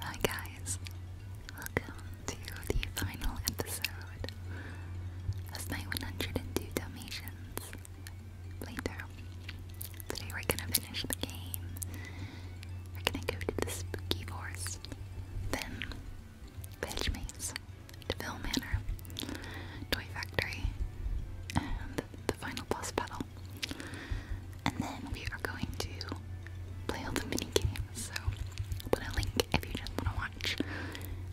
Hi guys, welcome to the final episode of my 102 Dalmatians playthrough. Today we're gonna finish the game. We're gonna go to the spooky forest, then Veg Maze, Deville Manor, Toy Factory, and the final boss battle. And then we are going to play all the mini games. So I'll put a link if you just want to watch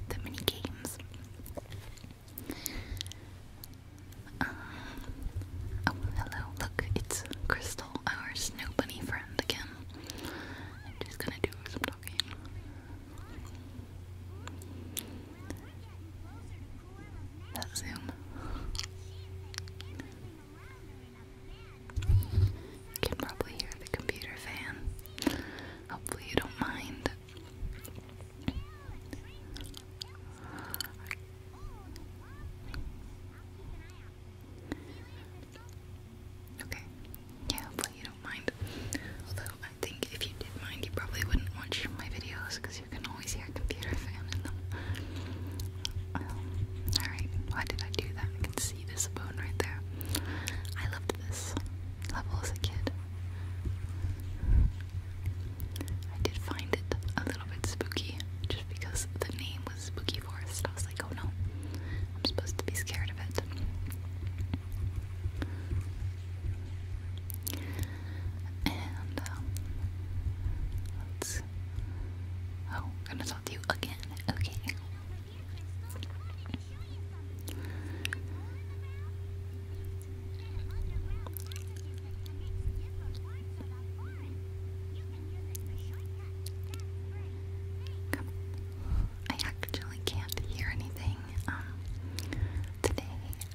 the mini games. Um, oh, hello. Look, it's Crystal, our snow bunny friend again. just gonna do some talking. That zoom. You can probably hear the computer fan. Hopefully, you don't mind. Okay. Yeah, hopefully you don't mind. Although I think if you did mind, you probably wouldn't watch my videos because you can always hear a computer fan in them. Um, alright, why did I do that? I can see this bone right there. I loved this level as a kid. I did find it a little bit spooky just because the name was Spooky Forest. I was like, oh no, I'm supposed to be scared of it. And um, let's Oh, I'm gonna talk to you again. Okay. I actually can't hear anything. Um, today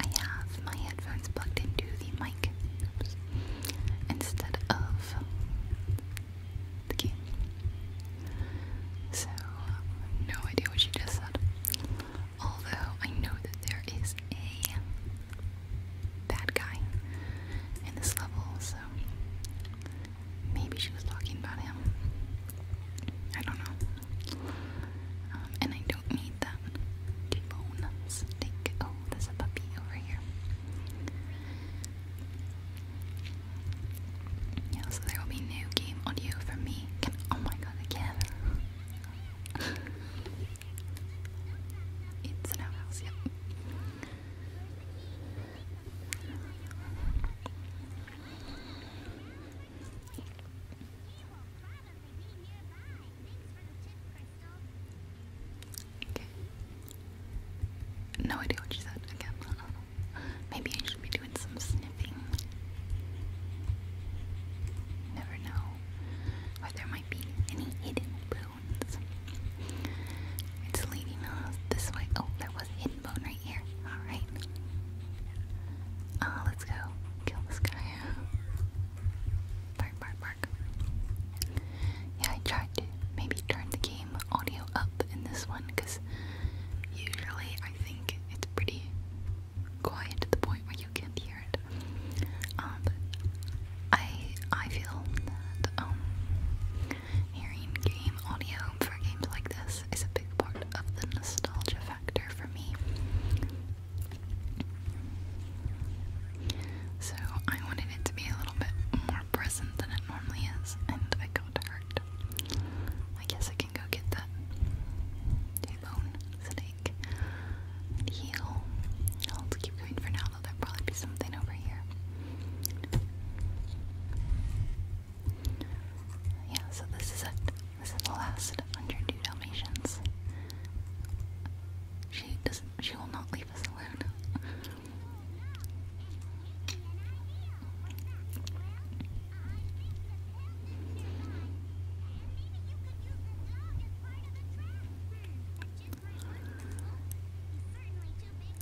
I have my headphones plugged into the mic instead of of the game. So, no idea what she just said. Although, I know that there is a bad guy in this level, so maybe she was talking about him. I don't know. Um, and I don't need that. bone steak there's a puppy over here. Yeah, so there will be new game audio from me. oh my god again. it's an outhouse, yep. Okay. No idea what you said again. Maybe I should be doing some sniffing. Never know. Or there might be any hidden bones. It's leading this way. Oh, there was hidden bone right here. Alright. Uh, ah, let's go kill this guy. Bark, bark, bark. Yeah, I tried to maybe turn the game audio up in this one because usually I think it's pretty quiet to the point where you can't hear it. Um, I I feel that um hearing game audio for games like this is a big part of the nostalgia factor for me. So I wanted it to be a little bit more present than it normally is, and I got hurt. I guess I can go get that bone steak heal. I'll keep going for now, there probably be something over here. Yeah, so this is it. This is the last 102 Dalmatians. She does She will not leave us alone.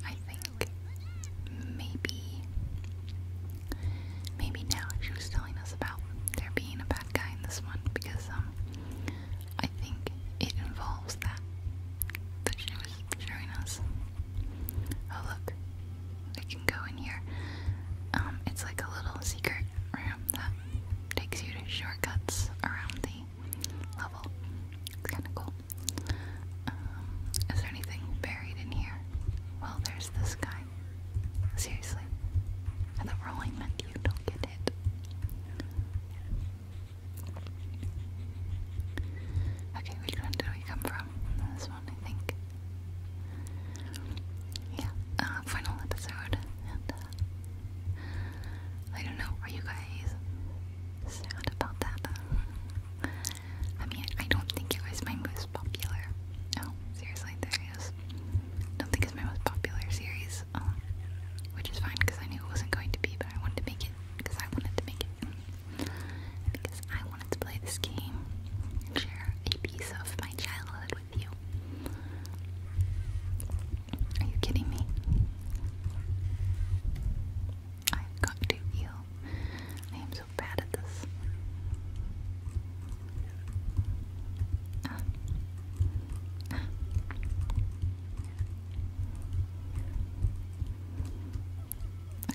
I think maybe maybe now she was telling us about there being a bad guy in this one because um I think it involves that that she was showing us. Oh look, we can go in here. Um, it's like a little secret room that takes you to shortcuts around the level. It's kind of cool. Um, is there anything buried in here? Well, there's this guy. Seriously, I thought rolling meant you don't get hit. Okay, which one did we come from? This one, I think. Yeah, uh, final episode. Uh, I don't know where you guys sound about that. I mean, I don't think it was my most popular. Oh, seriously, there it is. Don't think it's my most popular series, um, which is fine because I knew it wasn't going to be, but I wanted to make it because I wanted to make it. Because I wanted to play this game share a piece of my childhood with you. Are you kidding me? I've got to heal. I am so bad at this.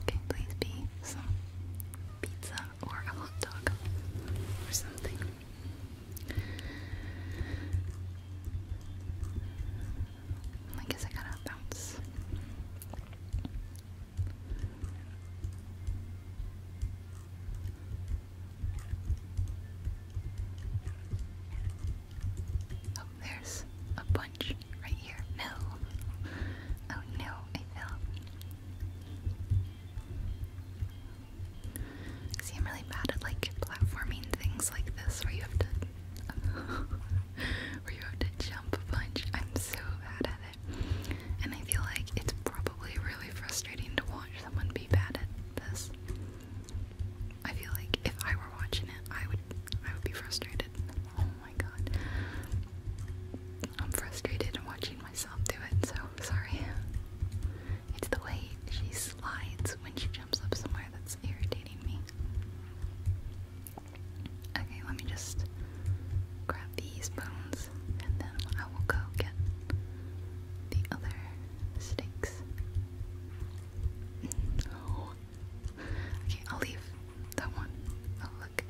Okay, please be some pizza or a hot dog or something. I guess I gotta bounce. Oh, there's a bunch right here. No. Oh no, I fell. See, I'm really bad at like platforming things like this where you have to where you have to jump a bunch. I'm so bad at it. And I feel like it's probably really frustrating to watch someone be bad at this. I feel like if I were watching it, I would I would be frustrated. Oh my god. I'm frustrated watching myself do it, so sorry. It's the way she slides when she jumps up somewhere that's irritating me. Okay, let me just grab these bones and then I will go get the other sticks. Mm. Oh, Okay, I'll leave that one. Oh, look.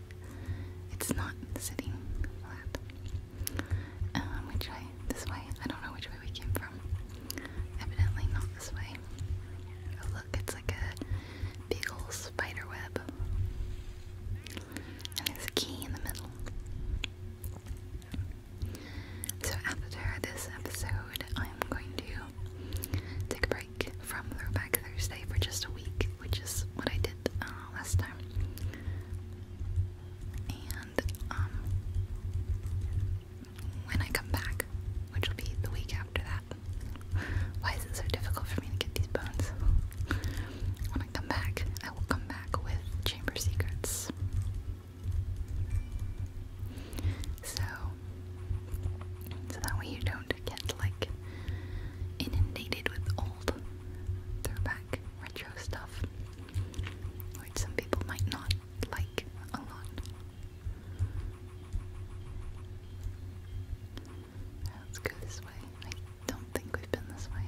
It's not sitting flat. Um, which way? This way? I don't know which way we came from. Evidently not this way. Oh, look, it's like a big old spider web. And there's a key in the middle. So, after this episode, I'm going to take a break from Throwback Thursday for just a week, which is what I did uh, last time. And um, when I come back, which will be the week after that, why is it so difficult for me to get these bones? When I come back, I will come back with Chamber Secrets. So, so that way you don't get like inundated with old throwback retro stuff, which some people might not like a lot. Let's go this way. I don't think we've been this way.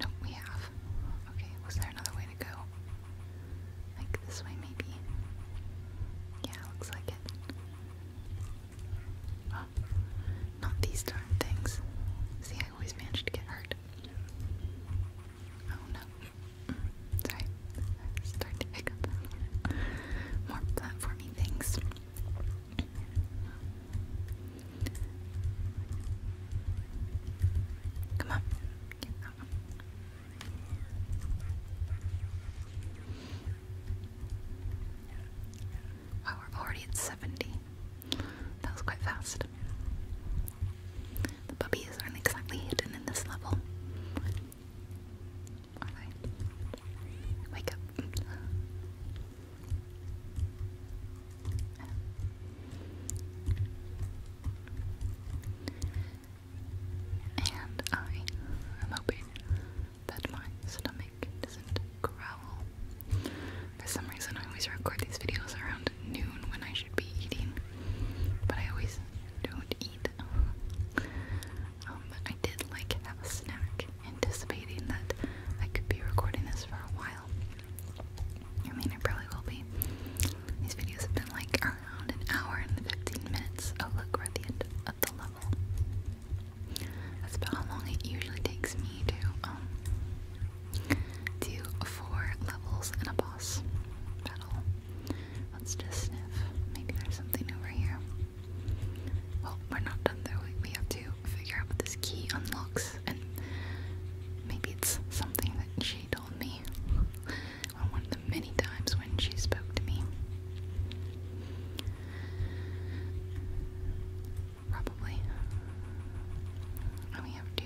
No, we have. Okay, was there another way to go? Like this way, maybe? Yeah, looks like it. not these darn things. See, I always manage to get hurt. Oh no. Mm, sorry. starting to pick up more platformy things. Come on. Wow, we're already at 70. That was quite fast. The puppies aren't exactly hidden in this level. Are they? Wake up. And I am hoping that my stomach doesn't growl. For some reason, I always record these videos around noon when I should be eating, but I always don't eat. Um, I did like have a snack, anticipating that I could be recording this for a while. I mean, I probably will be. These videos have been like, around an hour and 15 minutes. Oh, look, we're at the end of the level. That's about how long it usually takes me to um, do four levels in a boss battle. Let's just sniff. Maybe there's something over here. Well, we're not done though. We have to figure out what this key unlocks, and maybe it's something that she told me on one of the many times when she spoke to me. Probably. we have to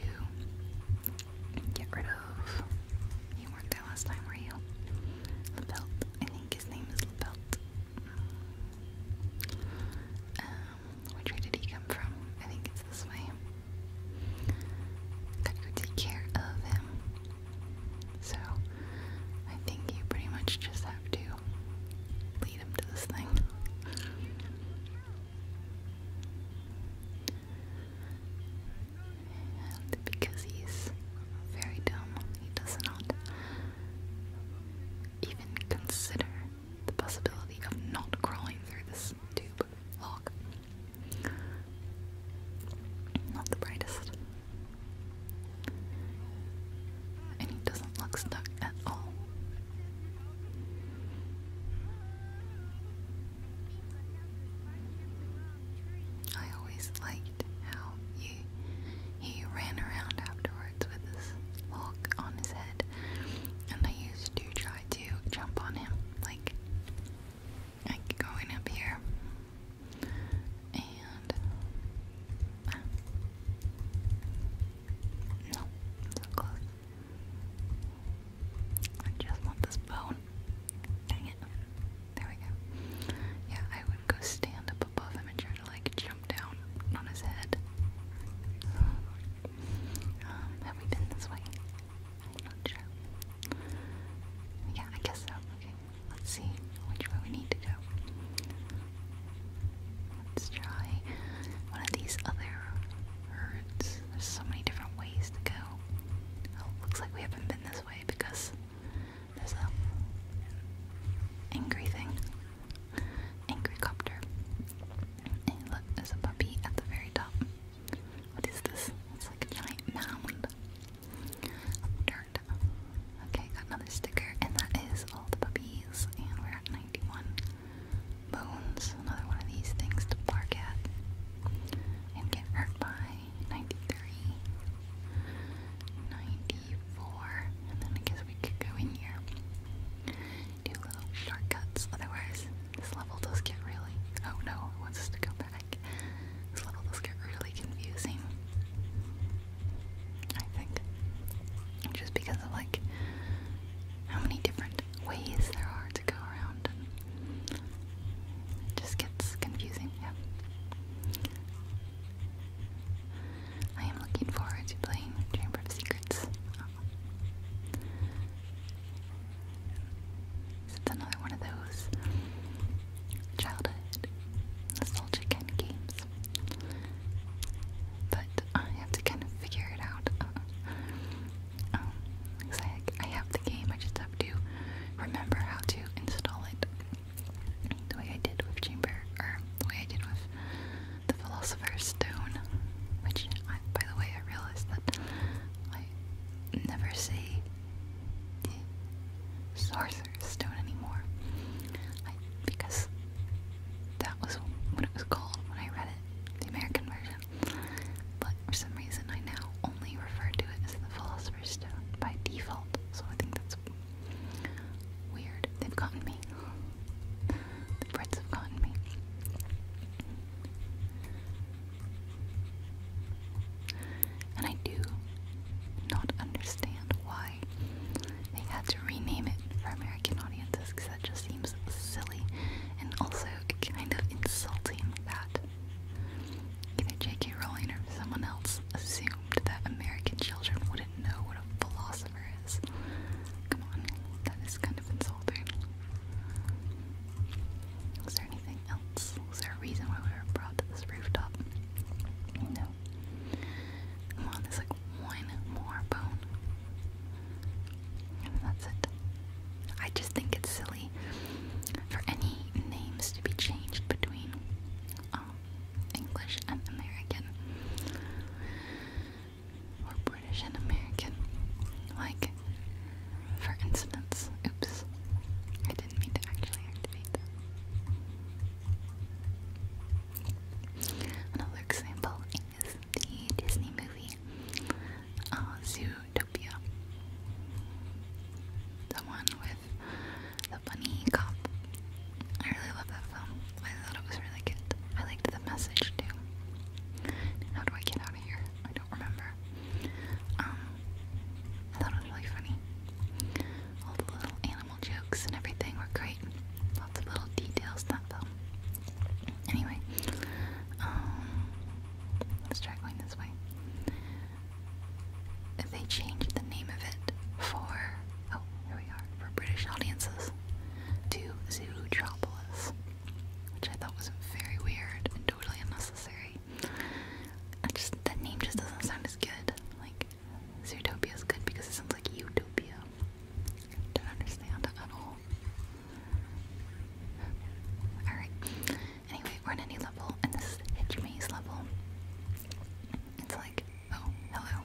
get rid of. You weren't there last time, were you? LaBelt. I think his name is LaBelt. Um, which way did he come from? I think it's this way that you take care of him. So I think you pretty much just have to lead him to this thing. And because he's very dumb, he does not even consider the possibility of not crawling through this tube log. Not the brightest. And he doesn't look stuck at all. I always liked how you he ran around afterwards with his log on his head and I used to try to jump on him like I can go up here and ah. no, so close. I just want this bone. Dang it. There we go. Yeah, I would go stand up above him and try to like jump down on his head. Um, have we been this way? Not sure. Yeah, I guess so. Okay, let's see which way we need to go. Let's try one of these other routes. There's so many different ways to go. Oh, looks like we haven't been this way because there's a angry thing. Angry copter. And look, there's a puppy at the very top. What is this? It's like a giant mound of dirt. Okay, got another sticker, and that is all the puppies, and we're at 91 bones. Another one of these things to bark at and get hurt by. 93, and then I guess we could go in here. Do little shortcuts, otherwise this level does get really. Oh no, wants us to go back. This level does get really confusing. I think. Just because of like how many different ways there are to go around. just gets confusing, yeah. I am looking forward to playing Chamber of Secrets. It's another one of those childhood nostalgic kind games. But I have to kind of figure it out. Uh, um, cause I, I have the game, I just have to remember how to install it. The way I did with Chamber, or the way I did with the Philosopher's Stone. Which, by the way, I realized that I never say Sorcerer's Stone anymore. because that was what it was called when I read it, the American version. But for some reason, I now only refer to it as the Philosopher's Stone by default, so I think that's weird. They've gotten me. The Brits have gotten me. And I do not understand why they had to rename it for American audiences because that just seems silly and also kind of insulting that either J.K. Rowling or someone else assumed that American children wouldn't know what a philosopher is. Come on, that is kind of insulting. Is there anything else? Is there a reason why we were brought to this rooftop? No. Come on, there's like one more bone. that's it. I just think it's silly for any names to be changed between um, English and American. Or British and American. Like, for instance, oops, I didn't mean to actually activate that. Another example is the Disney movie uh, Zootopia. The one with the bunny cop. I really love that film. I thought it was really good. I liked the message too. How do I get here. I don't remember. Um, I thought it was really funny. All the little animal jokes and everything were great. Lots of little details in that film. Anyway, um, let's try going this way. They changed the name of it for, oh, here we are, for British audiences to Zootropolis, which I thought was very weird and totally unnecessary just that name just doesn't sound as good. Like Zootopia is good because it sounds like utopia. Don't understand at all. Alright. Anyway, we're in a level and this is Hitch Maze level. It's like, oh, hello.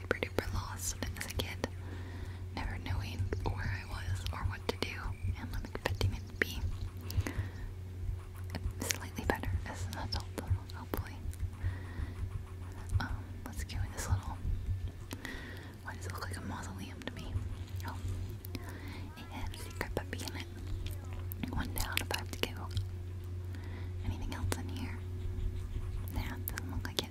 super duper lost as a kid, never knowing where I was or what to do and what expecting it be. Slightly better as an adult, hopefully. Um, let's go in this little. Why does look like a mausoleum to me? Oh, it secret puppy in it. One down, five to go. Anything else in here? Nah, doesn't look like it.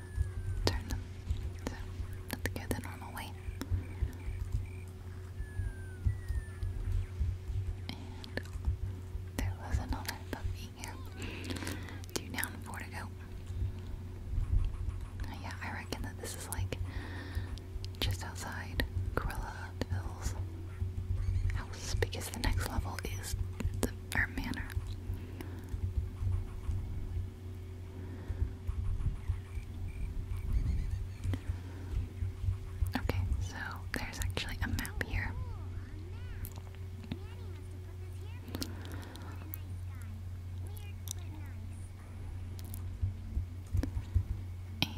turn them. So, let's go the normal way. And there was another puppy here. Two down, four to go. yeah, I reckon that this is like just outside Gorilla Deville's house because the next level is the, manor. Okay, so there's actually a map here. And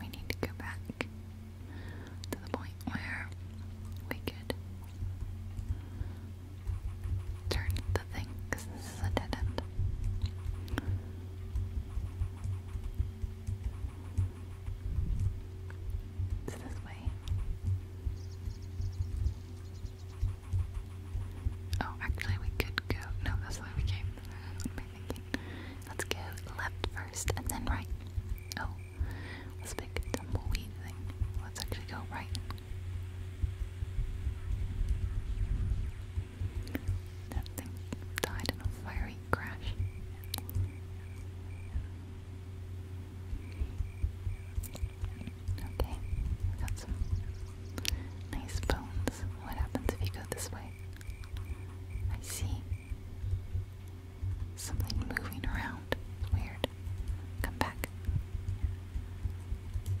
we need to go back to the point where we could turn the thing because this is a dead end. It's this way. Oh, actually, we could go. No, that's the we came. Let's go left first and then right. Oh, this big tumbleweed thing. Let's actually go right that thing died in a fiery crash. Okay, we got some nice bones. What happens if you go this way? I see something moving around. weird card. Come back.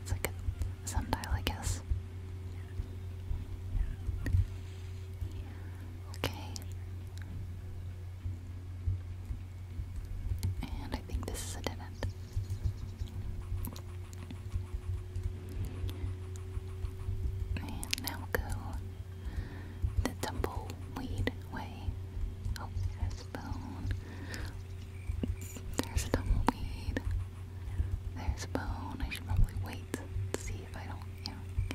It's like a sundial, I guess. Okay. And I think this is a dead end. And now go the tumbleweed way. Oh, there's a there's a tumbleweed. There's a bone. I should probably wait to see if I don't, you know,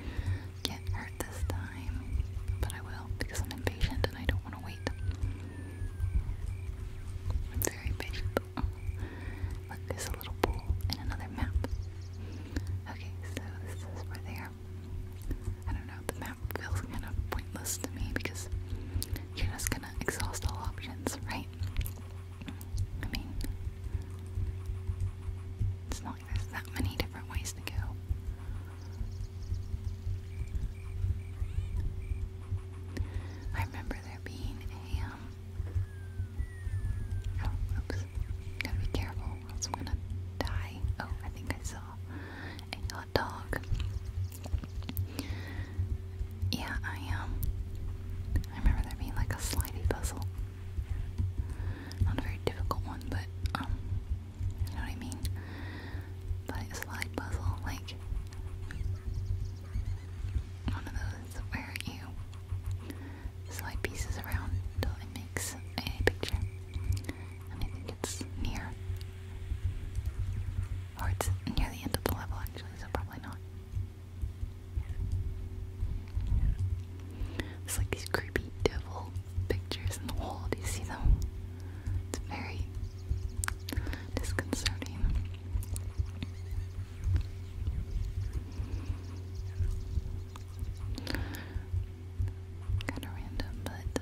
get hurt this time. But I will because I'm impatient and I don't want to wait. I'm very patient. there's a little pool and another map. Okay, so this is where they are. I don't know, the map feels kind of pointless to me because you're just gonna exhaust all options, right? I mean, it's not like there's that many different ways to go. I remember there being a, um, oh, oops, gotta be careful, else I'm gonna die. Oh, I think I saw dog. Yeah, I am. Um, I remember there being like a slidey puzzle. Not a very difficult one, but um, you know what I mean? But a slide puzzle, like one of those where you slide pieces around until it makes a picture. And I think it's near. Or it's near the end of the level, actually, so probably not. It's like these creepy devil pictures in the wall. Do you see them? It's very disconcerting. Kind of random, but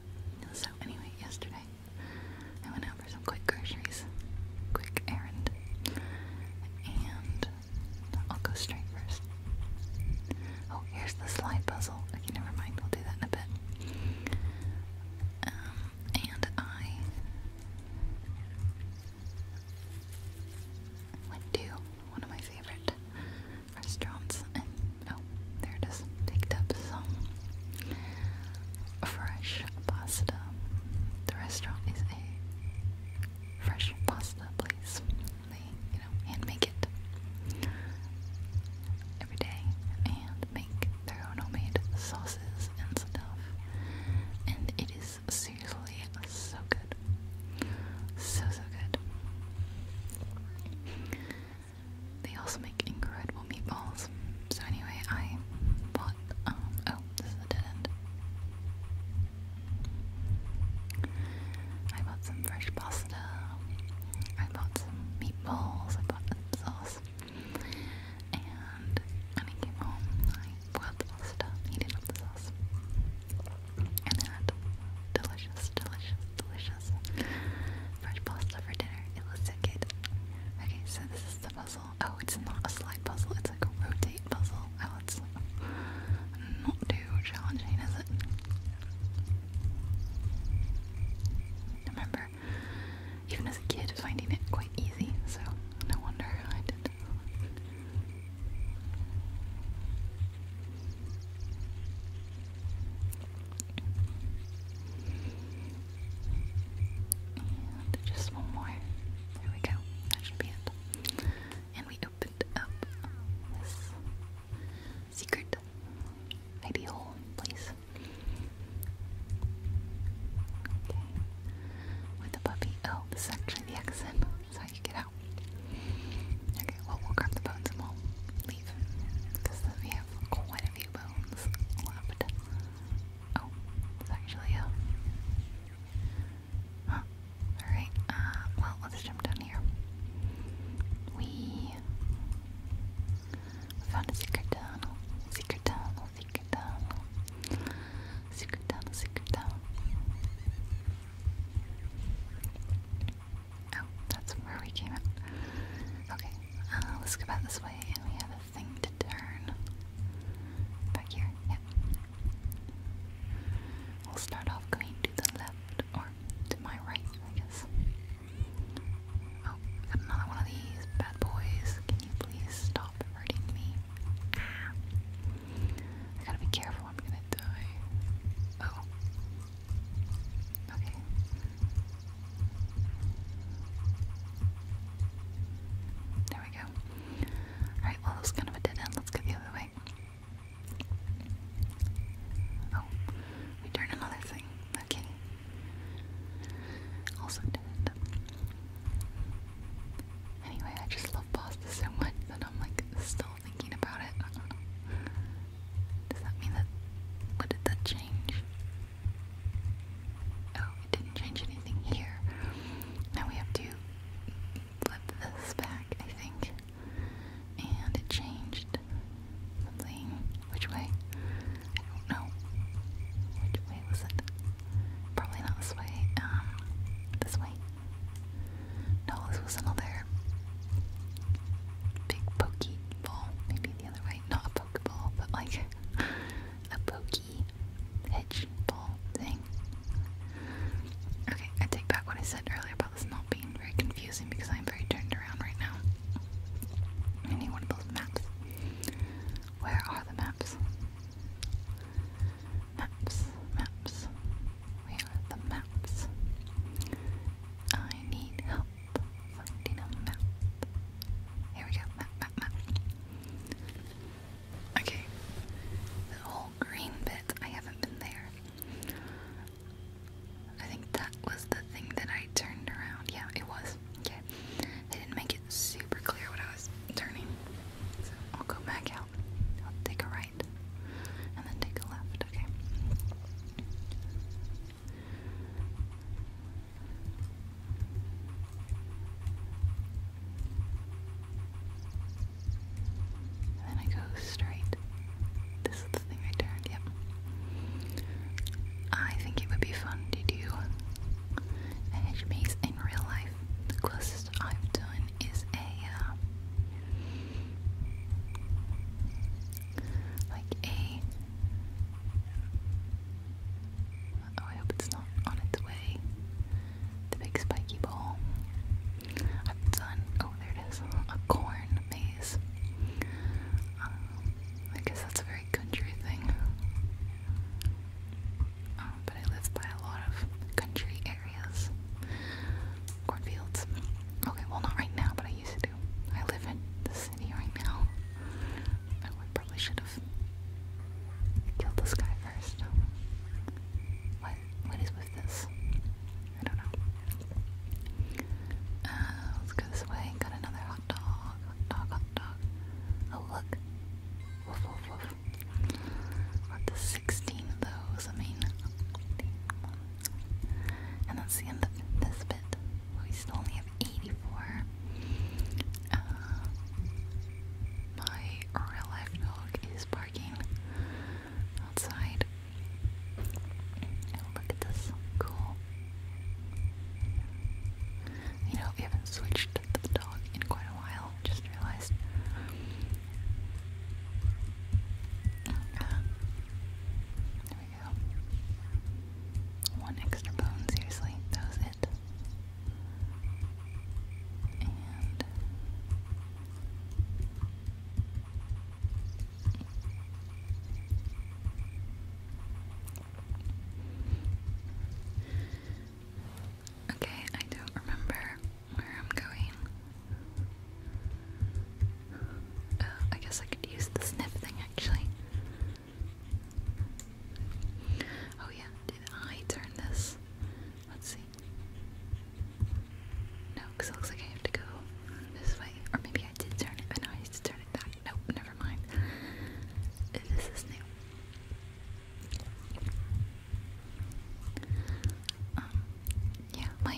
So anyway, yesterday I went out for some quick groceries, quick errand, and I'll go straight first. Oh, here's the slide puzzle. Okay, never mind. We'll do that in a bit. Um, and I went to one of my favorite restaurants and oh, there just Picked up some fresh pasta. The restaurant is a fresh pasta place. They, you know, hand make it every day and make their own homemade sauces and stuff. And it is seriously so good. So, so good. They also make incredible meatballs. So anyway, I bought, um, oh, this is a dead end. I bought some fresh pasta, I bought some meatballs, I bought the sauce, and when I came home, I boiled the pasta, heated up the sauce, and had delicious, delicious, delicious Fresh pasta for dinner. It looks so Okay, so this is the puzzle. Oh, it's not a slide puzzle. It's like a rotate puzzle. Oh, it's not too challenging, is it? Remember, even as a kid, finding it quite easy. So no wonder I did just one more. There we go. That should be it. And we opened up this secret hidey place. Okay. With the puppy. Oh, this is actually the exit. That's how you get out. Okay, well, we'll grab the bones and we we have quite a few bones left. Oh, it's actually a. Uh, Alright, uh, well, let's jump down here. We found a secret tunnel. Secret tunnel, secret tunnel. Secret tunnel, secret tunnel. Oh, that's where we came out. Okay, uh, let's go back this way, and we have a thing to turn. Back here, yep. We'll start off going to the left, or to my right, I guess. Oh, got another one of these bad boys. Can you please stop hurting me? I gotta be careful, I'm gonna die. Oh, Okay. There we go. Alright, well, that's kind of a dead end. Let's go the other way. Oh, we turned another thing. Okay. Also dead end. Anyway, I just love pasta so much that I'm like still thinking about it. Does that mean that what did that change? Oh, it didn't change anything here. Now we have to flip this back, I think. And it changed something. Which way? I don't know. Which way was it? Probably not this way. Um, this way. No, this was another big pokeball. Maybe the other way. Not pokeball, but like a pokey hedge thing. Okay, I take back what I said earlier about this not being very confusing because I'm very turned around right now. I need one of those maps. Where are the maps? Maps, maps. Where are the maps? I need help. Here we go, Okay, the whole green bit, I haven't been there. I think that was the thing that I turned around. Yeah, it was. Okay. They didn't make it super clear what I was turning. So I'll go back out. I'll take a right. And then take a left. Okay then I go straight. This is the thing I turned, yep. I think it would be fun to do a hedge maze in real life. The closest I've done is a uh, like a Oh, I hope it's not on its way. The big spiky ball. I've done. Oh, there it is. A corn maze. Um, I guess that's a very country thing. Um, but I live by a lot of country areas. Cornfields. Okay, well, not right now, but I used to. I live in the right now. I probably should have killed this guy first. What? What is with this? I don't know. Uh, let's go this way. Got another hot dog. Hot dog. Hot dog. Oh look. Woof woof 16 of those. I mean, and that's the end of this bit. We still only have 84. Uh, my real life dog is barking outside. Oh, look at this. Cool. You know, we haven't switched the dog in quite a while. Just realized. Uh, one extra bone, seriously. That was it. Okay, I don't remember where I'm going. Uh, I guess I could use the sniff thing actually. Oh yeah, I turn this? Let's see. No, because it looks like I have to go this way. Or maybe I did turn it, but oh, now I need to turn it back. Nope, never mind. This is new. Um, yeah, my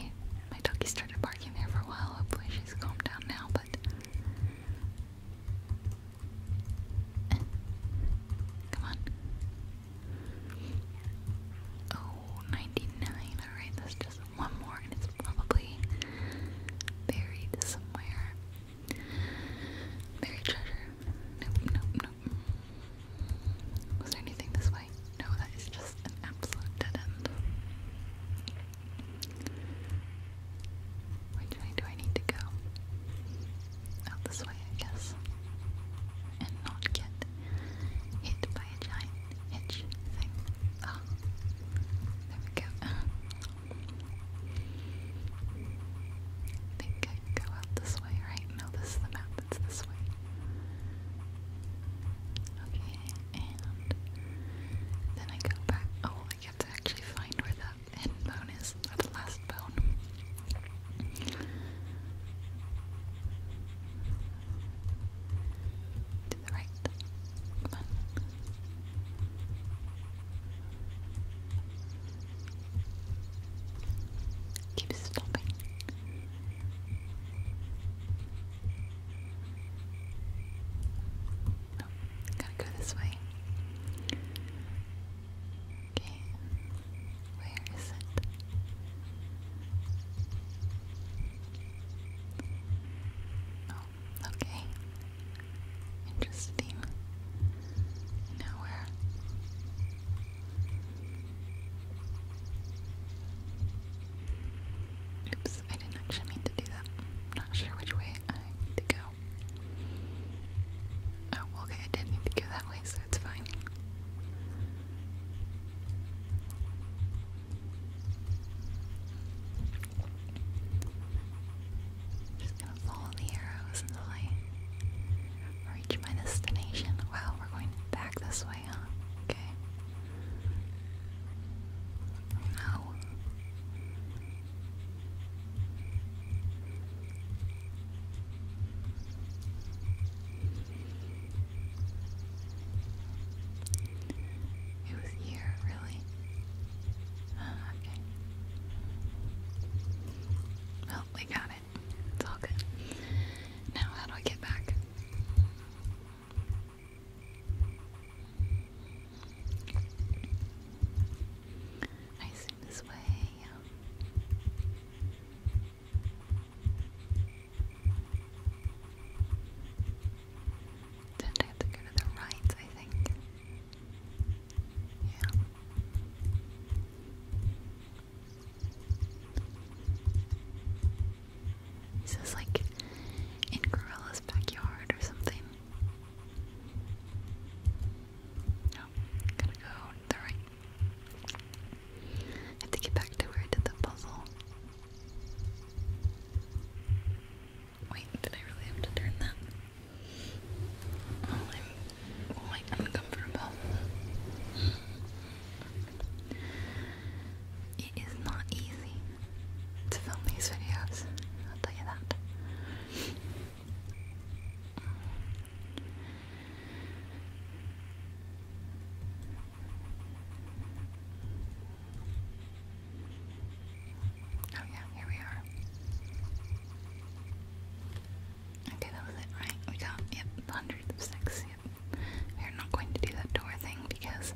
my doggy started barking there for a while. Hopefully she's calmed down now, but come on. Oh, Alright, that's just one more, and it's probably buried somewhere. Buried treasure. Nope, nope, nope. Was there anything this way? No, that is just is an absolute dead end. Which way do I need to go? Out this way, I guess. And not get hit by a giant hitch thing. Oh, there we go. think I go out this way, right? No, this is the map, it's this way. Okay and then I go back. Oh, I have to actually find where that end bone is, the last bone. To the right. Come on. Keep stopping. Oh, gotta go this way. Okay, where is it? Oh, okay. Interesting. Now Oops, I didn't actually mean to do that not sure which way I need to go. Oh, okay, I did need to go that way, so it's fine. Just gonna follow the arrows until I reach my destination. Wow, we're going back this way, huh? Okay. It was here, really. Ah, okay. Well, we got it. It's all good. Now, how do I get back? I assume this way, yeah. Then I have to go to the right, I think. Yeah. He says like in Gorilla's backyard or something. No, gotta go the right. have to get back to where I did the puzzle. Wait, did I really have to turn that? Oh, I'm quite oh, uncomfortable. It is not easy to film these videos, I'll tell you that. Oh, yeah, here we are. Okay, that was it, right? We got, yep, hundreds yep. We're not going to do that door thing because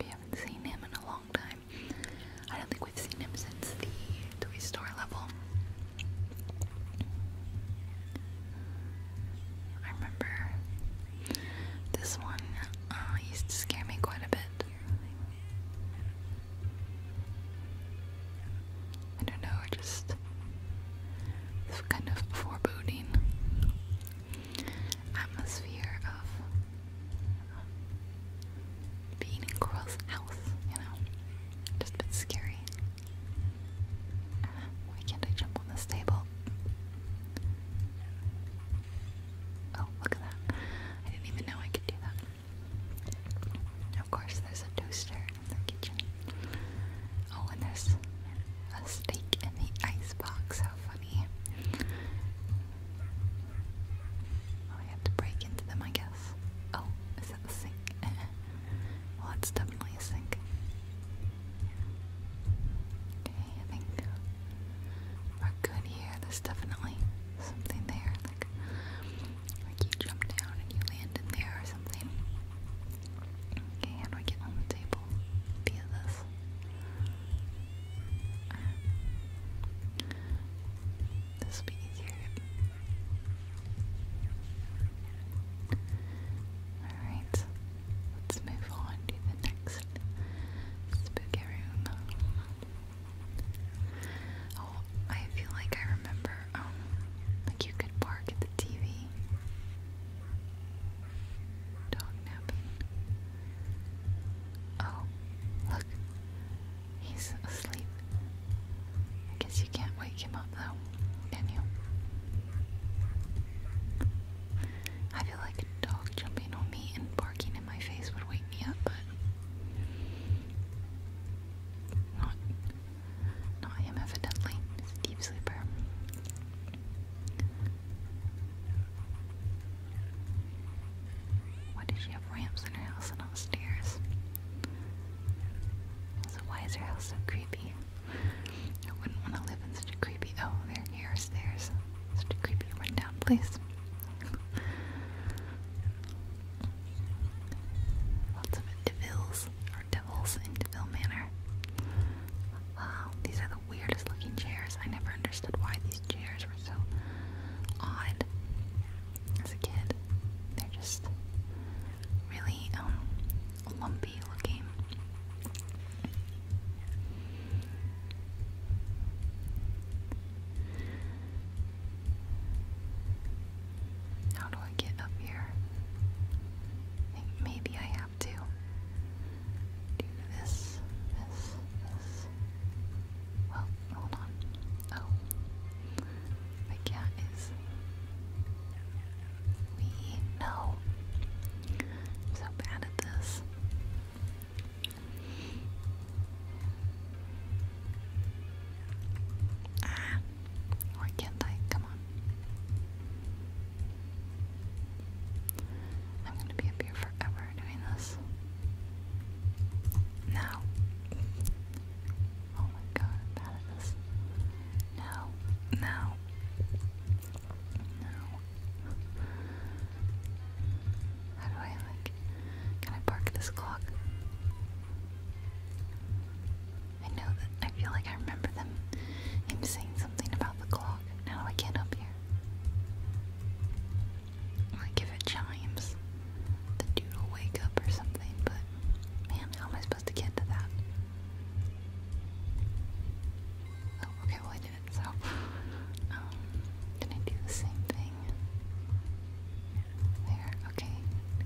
We haven't seen him in a long time. I don't think we've seen him since the Toy Store level. I remember this one uh, used to scare me quite a bit. I don't know, just kind of foreboding atmosphere of uh, being in Coral's house, you know? Just a bit scary. why can't I jump on this table? Oh, look at that. I didn't even know I could do that. Of course, there's a toaster in the kitchen. Oh, and there's a steak in the icebox. How fun. Oh, I have to break into them, I guess. Oh, is that the sink? well, that's definitely a sink. Okay, I think we're good here. definitely something there, like like you jump down and you land in there or something. Okay, how do I get on the table? people this. this will be easier. Alright, let's move on to the next spooky room. Oh, I feel like I remember, um, like you could bark at the TV. Dog napping. Oh, look. He's asleep. I guess you can't wake him up though, can you? I feel like a dog jumping on me and barking in my face would wake me up, but not not him evidently. deep sleeper. Why does she have ramps in her house and not stairs? So why is her house so creepy? I wouldn't want to live in such a creepy oh there are stairs. Such a creepy rundown place. Lots of Devils or devils in Deville Manor. Wow, these are weirdest looking chairs. I never understood why these chairs were so odd as a kid. They're just really um, lumpy looking. How do I get up here? maybe I have to do this, this, this. Well, hold on. Oh. The cat is. We know. I'm so bad at this. Ah. Or can't I? Come on. I'm gonna be up here forever doing this. No. Oh my god, I'm this. No. No. No. How do I like can I park this clock? I know that I feel like I remember them him saying something about the clock. Now I can't up here. I if it chimes, the dude wake up or something, but man, how am I supposed to get to that? Oh, okay, well I did it, so um can I do the same thing? There, okay.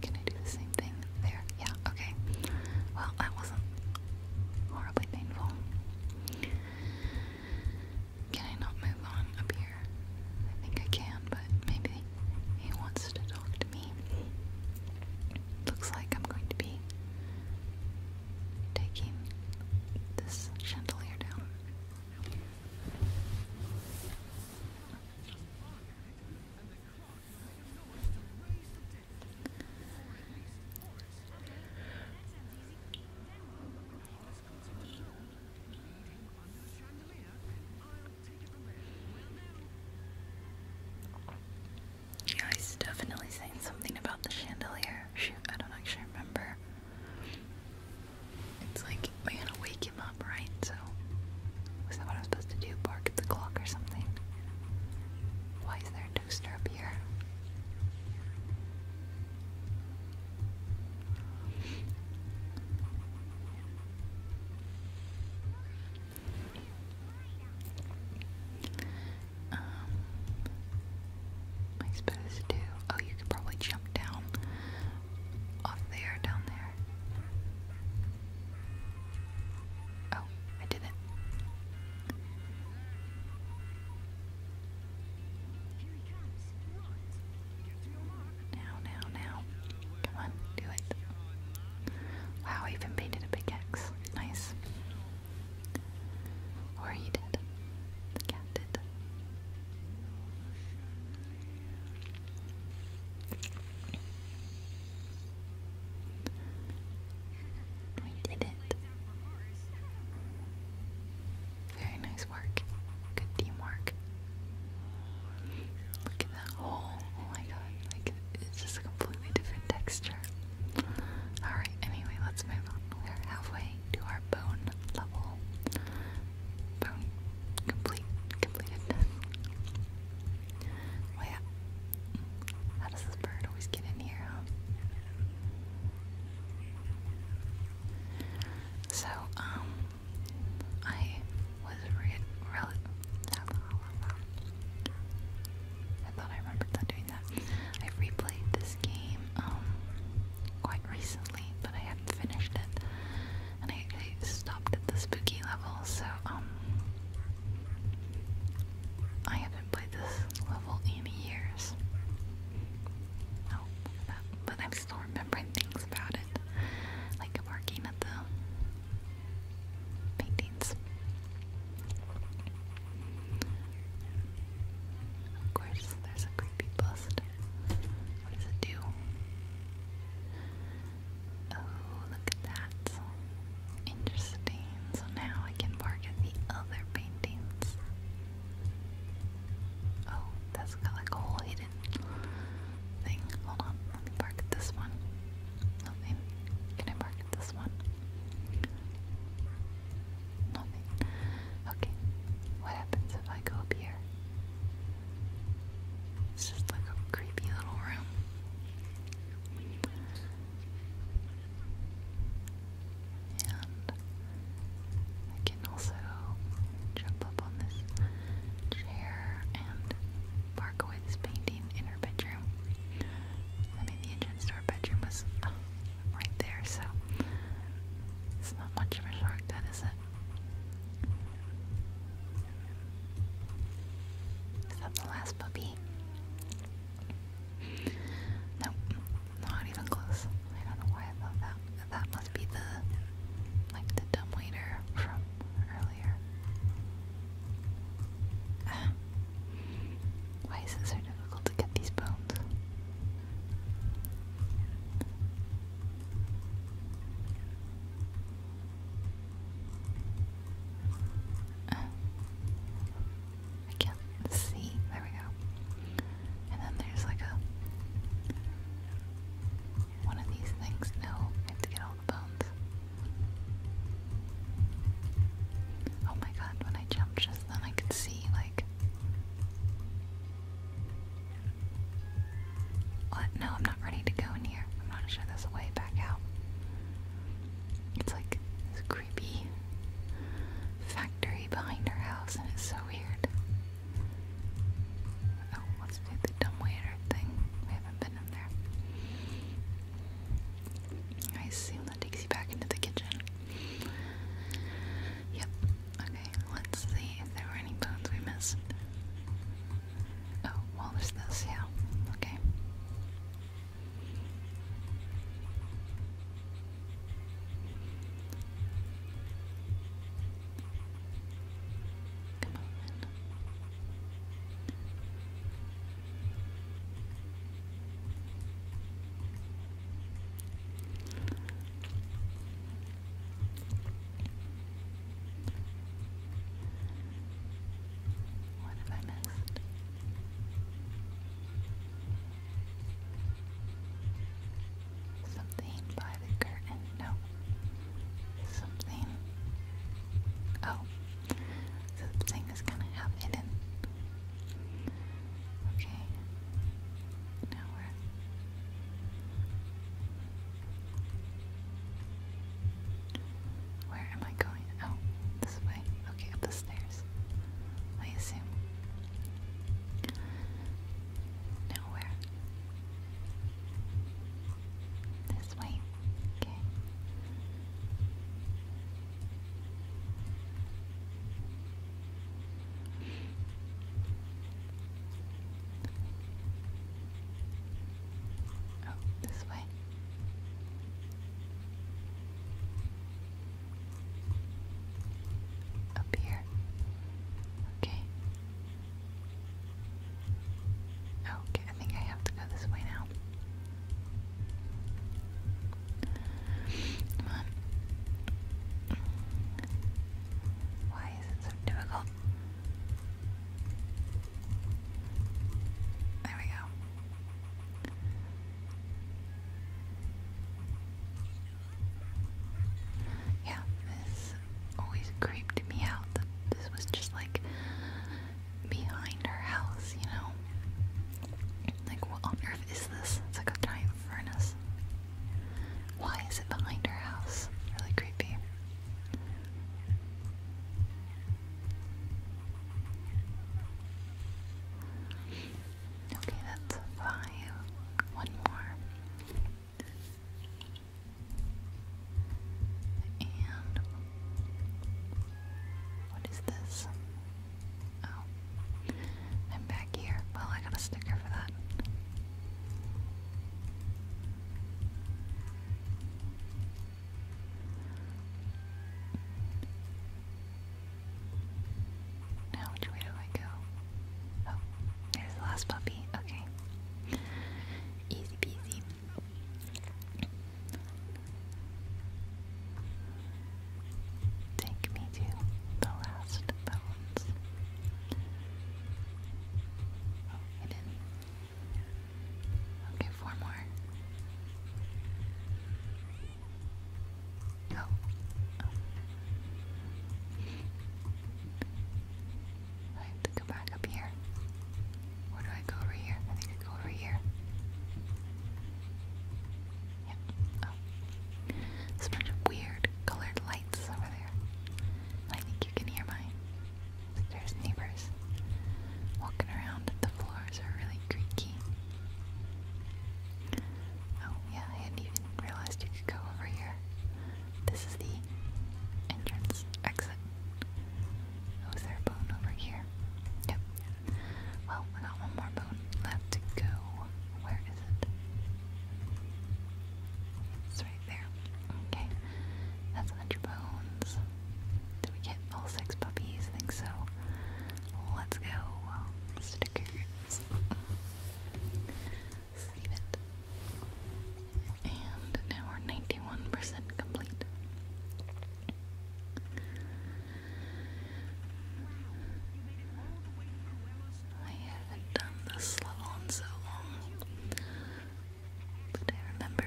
Can I do the same thing? There, yeah, okay. Well, that wasn't horribly painful. Can I not move on up here? I think I can, but maybe he wants to talk to me. Looks like I'm going to be taking this chandelier down. Yeah, he's definitely saying something about the chandelier. Shoot, I don't actually remember. It's like we gotta wake him up, right? So, was that what I was supposed to do? Bark at the clock or something? Why is there toaster up here. Um, I suppose to Oh, you could probably jump down off there, down there. Oh, I didn't. Now, now, now. Come on, do it. Wow, even painted a pickaxe. Nice. Or he did. The cat did. We did it. Very nice work. Good teamwork. Look at that hole. Oh my god. Like it's just a completely different texture. Alright, anyway, let's move on. We're halfway to our bone level. Bone complete completedness. Oh yeah. How does this bird always get in here, so, um, I was re I thought I remembered not doing that. I replayed this game um quite recently, but I hadn't finished it, and I stopped at the spooky level. So um, I haven't played this level in years. Oh, but I'm still remembering things about it, like marking at the paintings. Of course, there's a creepy bust. What does it do? Oh, look at that. Interesting. So now I can mark at the other paintings. Oh, that's got like a whole hidden thing. Hold on, let me park this one. Nothing. Can I park this one? Nothing. Okay. What happens if I go up here? It's just like a creepy little room. And I can also jump up on this chair and park away this painting in her bedroom. I mean, the entrance to her bedroom was uh, right there, so it's not much of a shortcut, is it? Is that the last puppy? Nope, not even close. I don't know why I thought that. That must be the, like the dumbwaiter from earlier. Why is it so difficult to get these bones? I can't see. There we go. And then there's like a one of these things. No, I have to get all the bones. Oh my god, when I jumped just then I could see like What? No, I'm not ready to go in here. I'm not sure there's way back out. It's like creepy factory behind our house, and it's so weird. Oh, let's do the dumbwaiter thing. We haven't been in there. I assume that takes you back into the kitchen. Yep. Okay, let's see if there were any bones we missed. Oh, well, this, yeah. Okay. Come on. What have I missed? Something by the curtain. No. Something. Oh. So is kind of half Okay. Now we're. Where am I going? Oh, this way. Okay, up the stairs. I assume. Nowhere. This way. Okay. Oh, this way. Up here. Okay. Okay, I think I have to go this way now. Come on. Why is it so difficult? There we go. Yeah, this always creeped me out that this was just like behind our house, you know? Like, what on earth is this? It's like a giant furnace. Why is it behind our house? Really creepy. Okay, that's five. One more. And what is this? Oh, I'm back here. Well, I got a sticker for that. Now which way do I go? Oh, there's the last puppy. Okay. Easy peasy. Take me to the last bones. Oh, I didn't. Okay, four more. Oh. I have to go back up here. Where do I go over here? I think I go over here. Yep. Oh. There's weird colored lights over there. I think you can hear mine. There's neighbors walking around. The floors are really creaky. Oh, yeah, I hadn't even realized you could go over here. This is the entrance exit. Oh, is a bone over here? Yep. Well, we got one more bone left to go. Where is it? It's right there. Okay. That's 100 bones. Did we get all six puppies? I think so. Let's go. Sticker Save it. And now we're 91% complete. I haven't done this level in so long, but I remember it.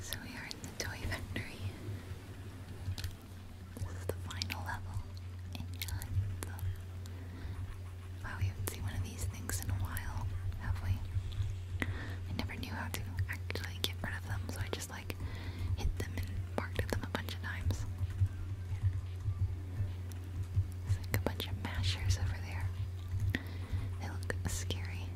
So we are in the toy factory. This is the final level Wow, we haven't seen one of these things in a while, have we? I never knew how to actually get rid of them, so I just like hit them and barked them a bunch of times. There's like a bunch of mashers over there. They look scary.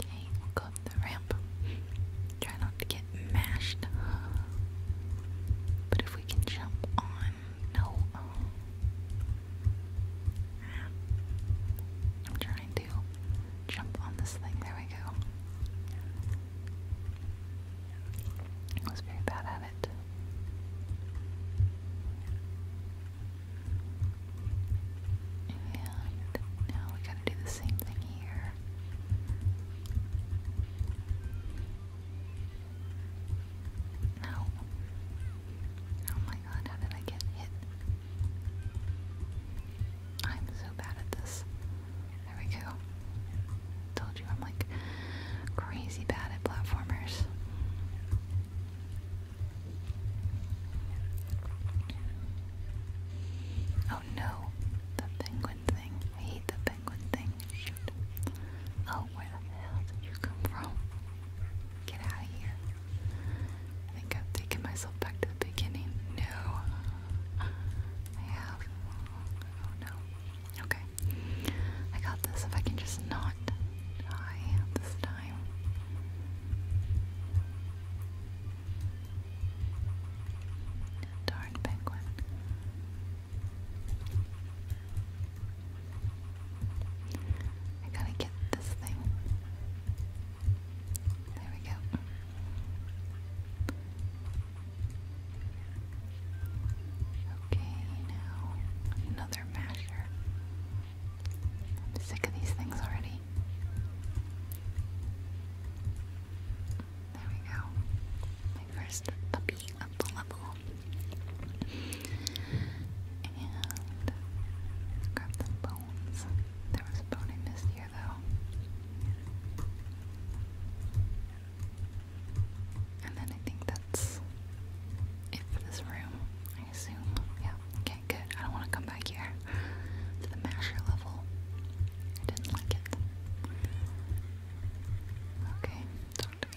Okay, we'll go up the ramp. Try not to get mashed. But if we can jump on, no. I'm trying to jump on this thing. There we go. It was very bad at and now we gotta do the same thing here. No. Oh my god, how did I get hit? I'm so bad at this. There we go. I'm like crazy bad at platformers. Oh no, the penguin thing. I hate the penguin thing. Shoot. Oh, where the hell did you come from? Get out of here. I think I've taken myself back to the beginning. No. I have. Oh no. Okay. I got this. If I can just not die this time. Darn penguin. I gotta get this thing. There we go. Okay, now another masher. I'm sick of these things already. There we go. My first puppy up the level. And grab the bones. There was a bone I missed here though. And then I think that's it this room, I assume. Yeah, okay, good. I don't want to come back here to the masher level. I didn't like it. Okay, talk to me.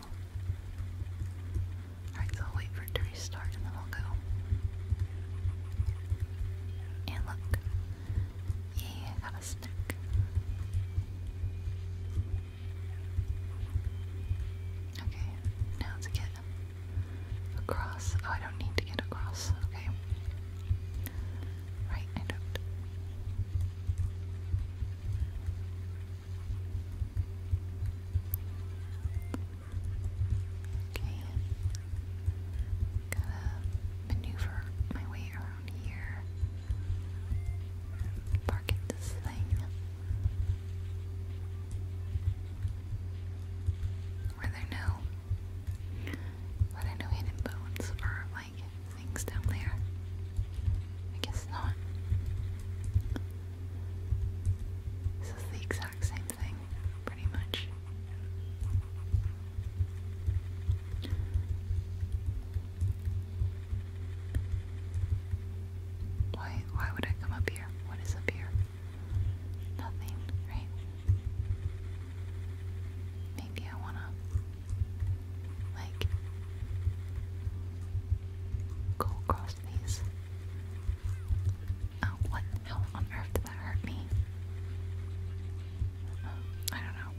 Alright, so I'll wait for it to restart and then I'll go. And look. Yeah, I got a snack. Okay, now let across. Oh, I don't need to get across. Okay. Right, I don't. Okay. Gotta maneuver my way around here. Park at this thing. Were there no were there no hidden bones or like things down there? I guess not. This is the exact same thing, pretty much. Why why would I come up here? What is up here? Nothing, right? Maybe I wanna like go across please. Oh, uh, what? How on earth did that hurt me? Um, I don't know.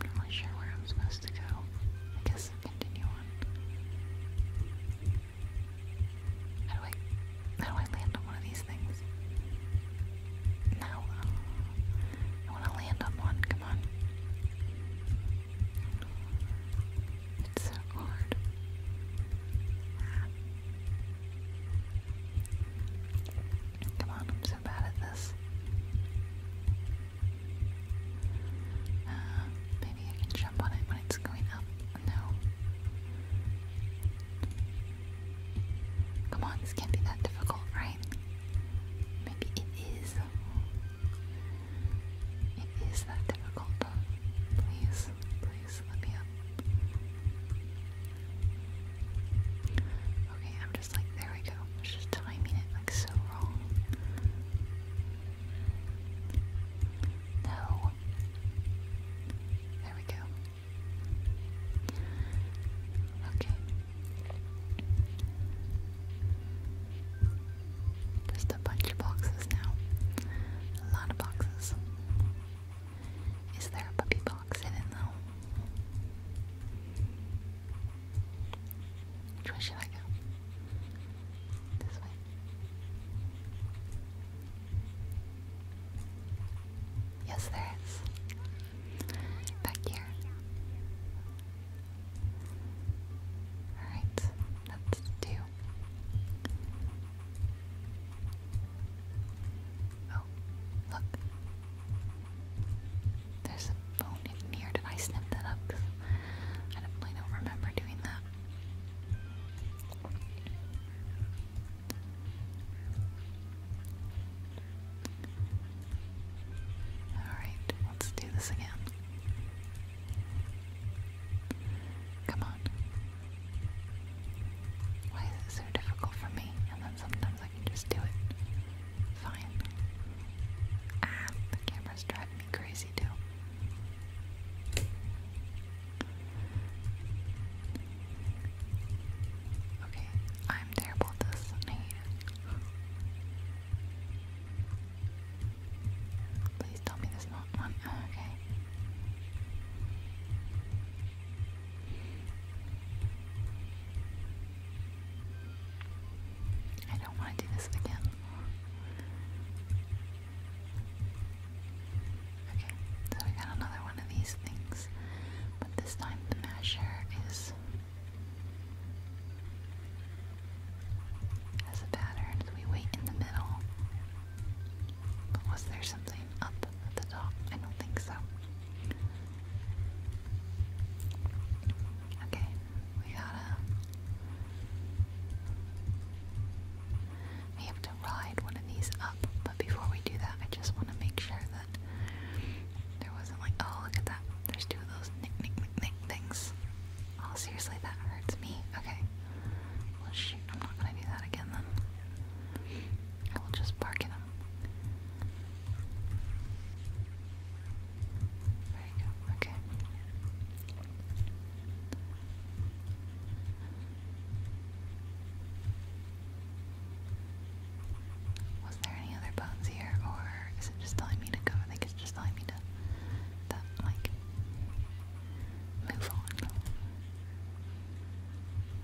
I'm not really sure where I'm supposed to go. I guess continue on. How do I how do I land on one of these things? No. Uh, I want to land on one. Come on. It's so hard. Come on, I'm so bad at this. Uh, maybe I can jump on it when it's going up. No. Come on, this can't be that difficult, right? Maybe it is. It is that difficult. Please, please let me up. Okay, I'm just like, there we go. I was just timing it like so wrong. No. There we go. Okay, just a bunch of boxes now. A lot of boxes. Is there a puppy box hidden though? Which way should I go? This way. Yes, there is. Back here. Alright, that's two. Oh, look. There's a bone in here. Did I snip that up? I definitely don't remember doing that. Alright, let's do this again. Come on. Why is it so difficult for me? And then sometimes I just do it. Fine. Ah, the camera's driving me crazy too. Okay, I'm terrible at this. I hate Please tell me there's not one. Oh, okay. I don't want to do this again. Okay, so we got another one of these things, but this time the measure is as a pattern. So we wait in the middle. But was there something up at the top? I don't think so. Okay, we gotta. We have to ride one of these up, but before we do that, I just want to make sure that there wasn't like, oh, look at that. There's two of those things. Oh, seriously, that hurts me. Okay. Well, shoot, I'm not gonna do that again then. I will just bark at him. There you go. Okay. Was there any other bones here, or is it just telling me to go to the it's just telling me to that like move on.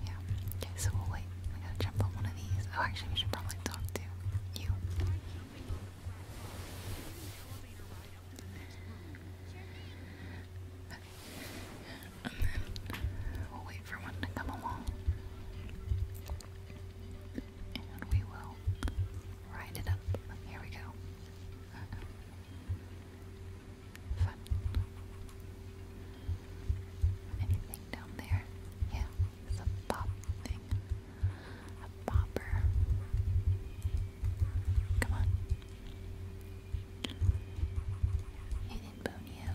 Yeah. Okay, so we'll wait. We gotta jump on one of these. Oh actually we should probably talk to you. And then we'll wait for one to come along and we will ride it up. Here we go. Anything down there? Yeah, it's a pop Come on. Hidden Bonio.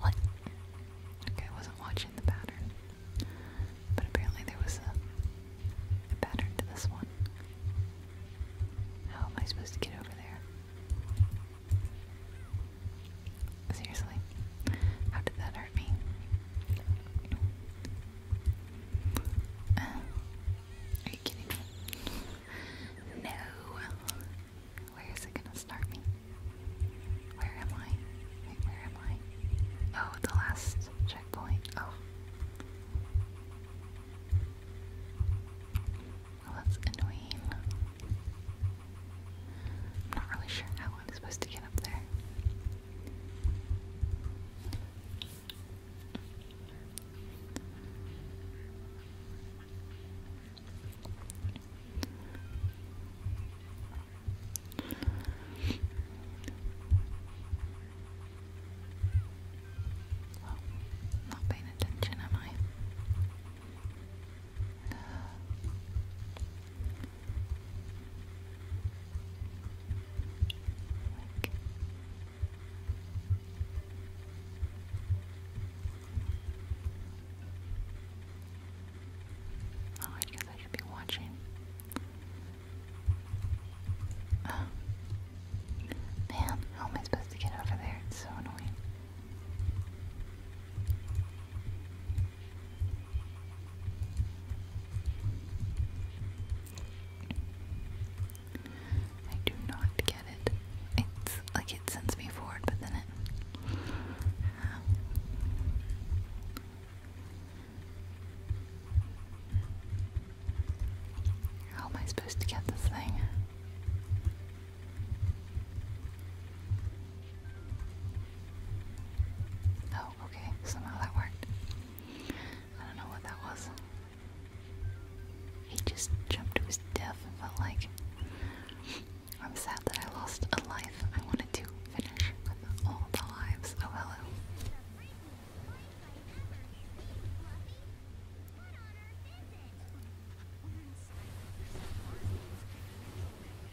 What? Okay, I wasn't watching the pattern. But apparently there was a, pattern to this one. How am I supposed to get over there? Seriously, how did that hurt me? Um, are you kidding me? No. Where is it gonna start me? Where am I? where am I? Oh, the last checkpoint. Oh. that's annoying. I'm not really sure how I'm supposed to get up there. not paying attention, am I? Oh, I guess I should be watching. Um, man, how am I supposed to get over there? It's so annoying. I do not get it. It's like it sends me forward, but then it. how am I supposed to get this thing? Oh, okay. Somehow that worked. I don't know what that was. He just jumped to his death and felt like. I'm sad that I lost a life. I wanted to finish with all the lives. Oh, hello.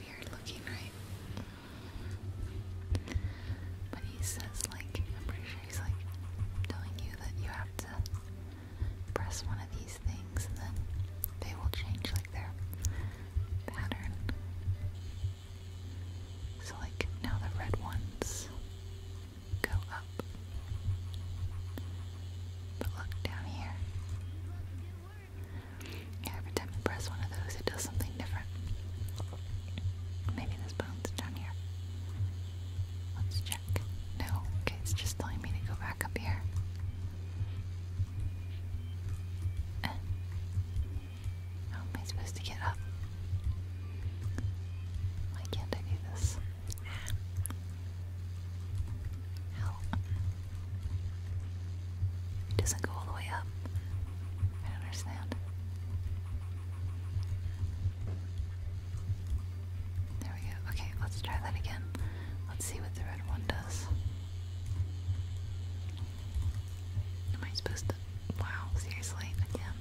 weird looking, right? But he says, like, I'm pretty sure he's like telling you that you have to press one of these things and then they will change like their pattern. So, like, now the red ones go up. But look down here. Every time you press one of those, it does something different. Maybe this bone's down here. Let's check. No, okay, it's just telling me to go back up here. Eh. How am I supposed to get up? Why can't I do this? Help. It doesn't go all the way up. I understand. There we go. Okay, let's try that again. Let's see what the red one does. Am I supposed to? Wow, seriously? Again?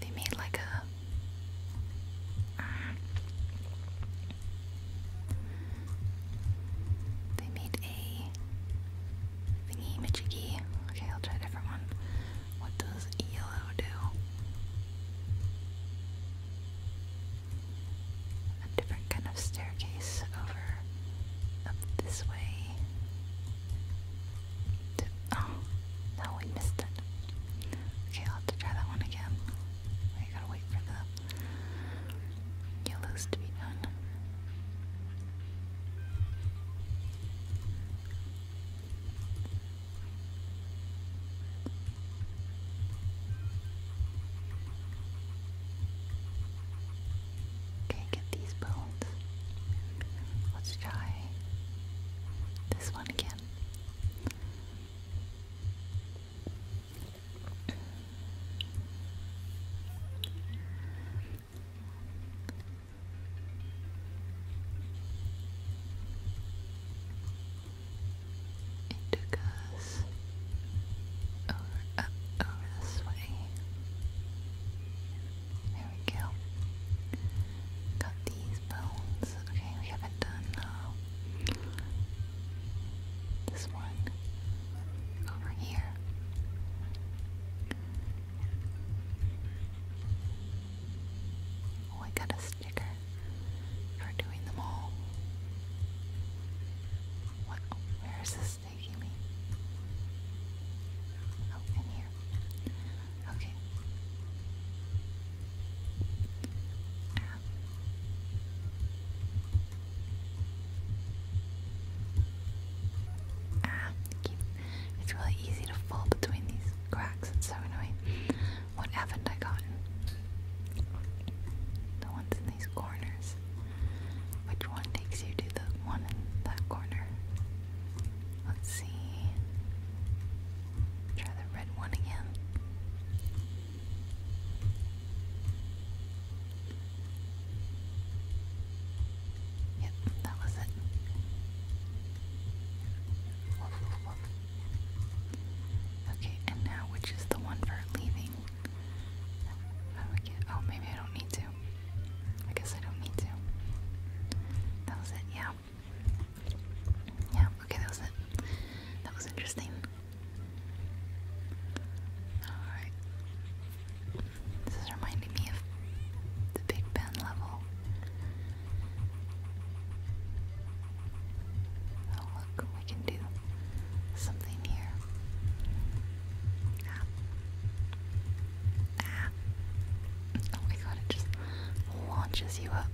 they made like a uh, they made a thingy majiggy. Okay, I'll try a different one. What does yellow do? A different kind of staircase over up this way. oh, no, we missed it. Okay, i have to try that one again. I gotta wait for the yellows to be done. Okay, get these bones. Let's try this one again. It goes over, up, uh, over this way. There we go. Got these bones. Okay, we haven't done this one over here. Oh, got a sticker for doing them all. where is this taking me? Oh, in here. Okay. Uh, it's really easy to fall between these cracks. It's so annoying. What haven't I gotten? The ones in these corners. Which one takes you to the one in that corner? Let's see. Try the red one again. Yep, that was it. Okay, and now which is the one for leaving? I get? Oh, maybe I don't need to. I guess I don't need to. That was it, yeah. Yeah, okay, that was it. That was interesting. Alright. This is reminding me of the Big Ben level. Oh, look, we can do something here. Ah. Ah. Oh my god, it just launches you up.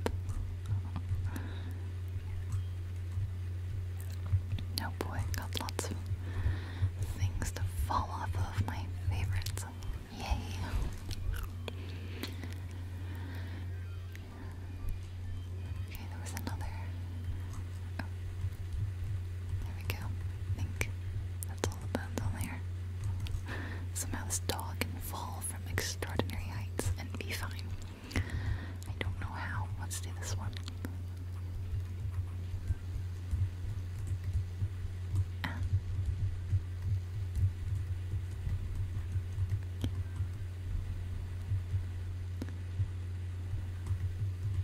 Oh boy, got lots of things to fall off of my favorites. Yay! Okay, there was another. Oh. There we go. I think that's all the bones on there. Somehow this dog can fall from extraordinary heights and be fine. I don't know how. Let's do this one. Ah.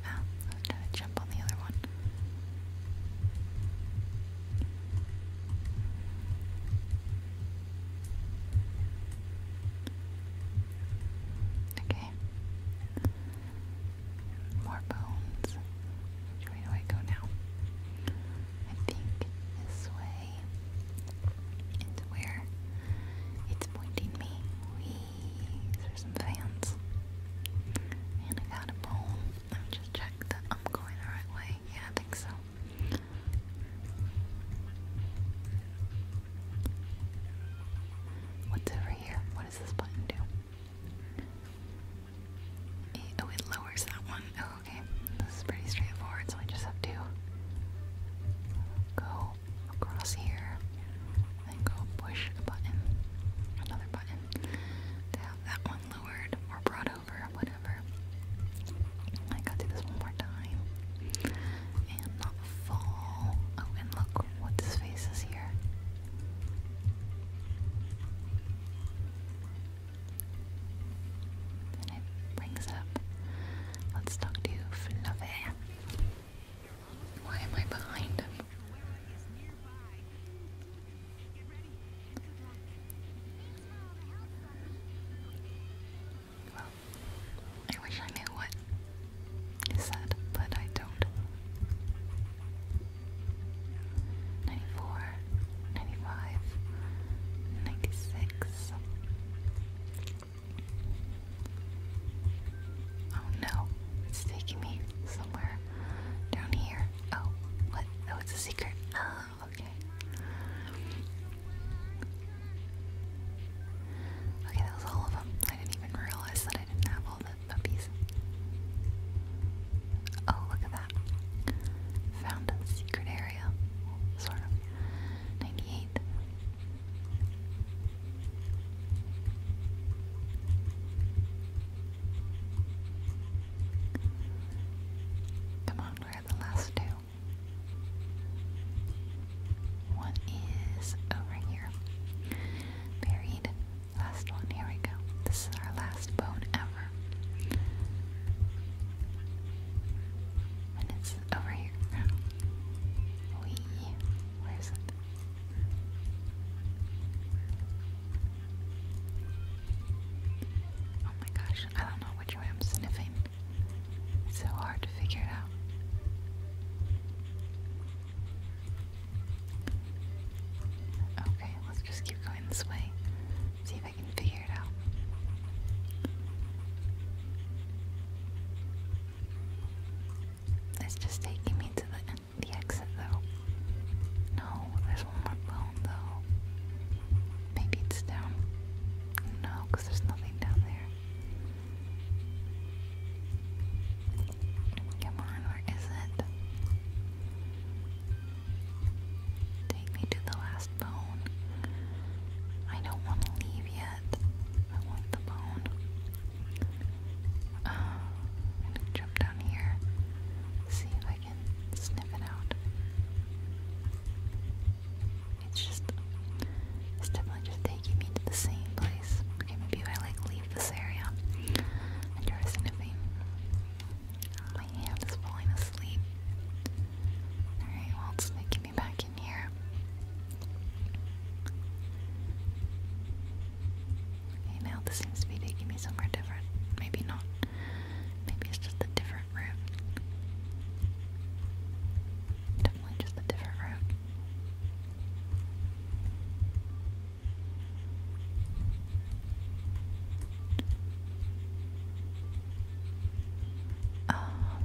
Ah, I jump on the other one. Okay. More bones. Which do I go now? I think this way into where it's pointing me. Wee. There's some fans. And I got a bone. Let me just check that I'm going the right way. Yeah, I think so. What's over here? What does this button do? Eh, oh, it lowers that one. Oh, okay. This is pretty straightforward, so I just have to go across here and go push a button, another button, to have that one lowered or brought whatever. I gotta do this one more time. And not fall. Oh, and look what this face is here. And it brings up. Let's talk to Fluffy. Why am I behind him? Well, I wish I knew what is said, but I don't. 94, Oh no, it's taking me somewhere down here. Oh, what? Oh, it's a secret. Oh okay. Okay, that was all of them. I didn't even realize that I didn't have all the puppies. Oh, look at that. Found a secret area. Sort of. 98. Come on, we're the last two. What is over here? Buried. Last one. Here we go. This is our last bone ever. And it's over here. We. Where is it? Oh my gosh, I don't know which way I'm sniffing. It's so hard to figure it out. Okay, let's just keep going this way. See if I can figure it out. It's just taking me to the, the exit though. No, there's one more bone though. Maybe it's down. No, there's nothing down there. Come on, where is it? Take me to the last bone. I don't want to leave yet. I want the bone. Ah, I'm gonna jump down here. See if I can sniff it out. It's just, it's definitely just taking me to the same place. maybe if I like leave this area and try sniffing. My hand is falling asleep. Alright, well, it's taking me back in here. Okay, now this seems to be taking me somewhere different. Maybe not. Maybe it's just a different route. Definitely just a different route. Oh,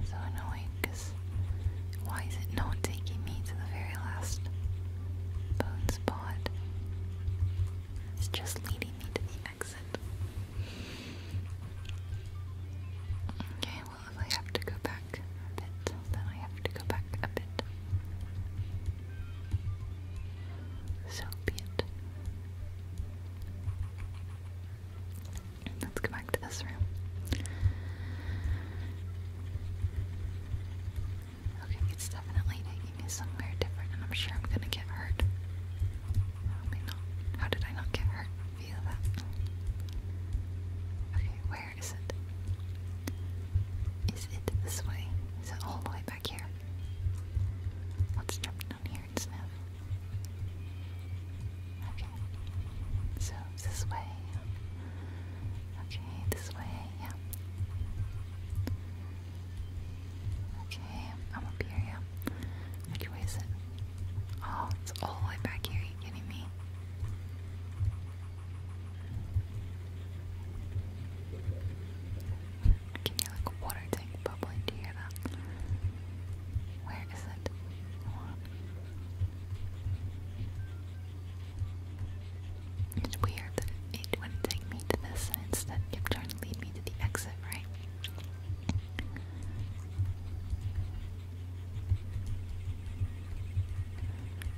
so annoyed because why is it not taking me to the very last bone spot? It's just leading me to the Okay, well, if I have to go back a bit, then I have to go back a bit. So be it. Let's go back to this room. Okay, it's definitely taking me somewhere different, and I'm sure I'm gonna get hurt. How did I not get hurt? Feel that? Okay, where is it? Is it this way? Is it all the way back here? Let's jump down here and sniff. Okay. So, this way. Okay, this way, yeah. Okay, I'm up here, yeah. Which way is it? Oh, it's all the way back here, are you kidding me? I can hear like a water tank bubbling, do you hear that? Where is it? Hold on. It's weird that it wouldn't take me to this and instead kept trying to lead me to the exit, right?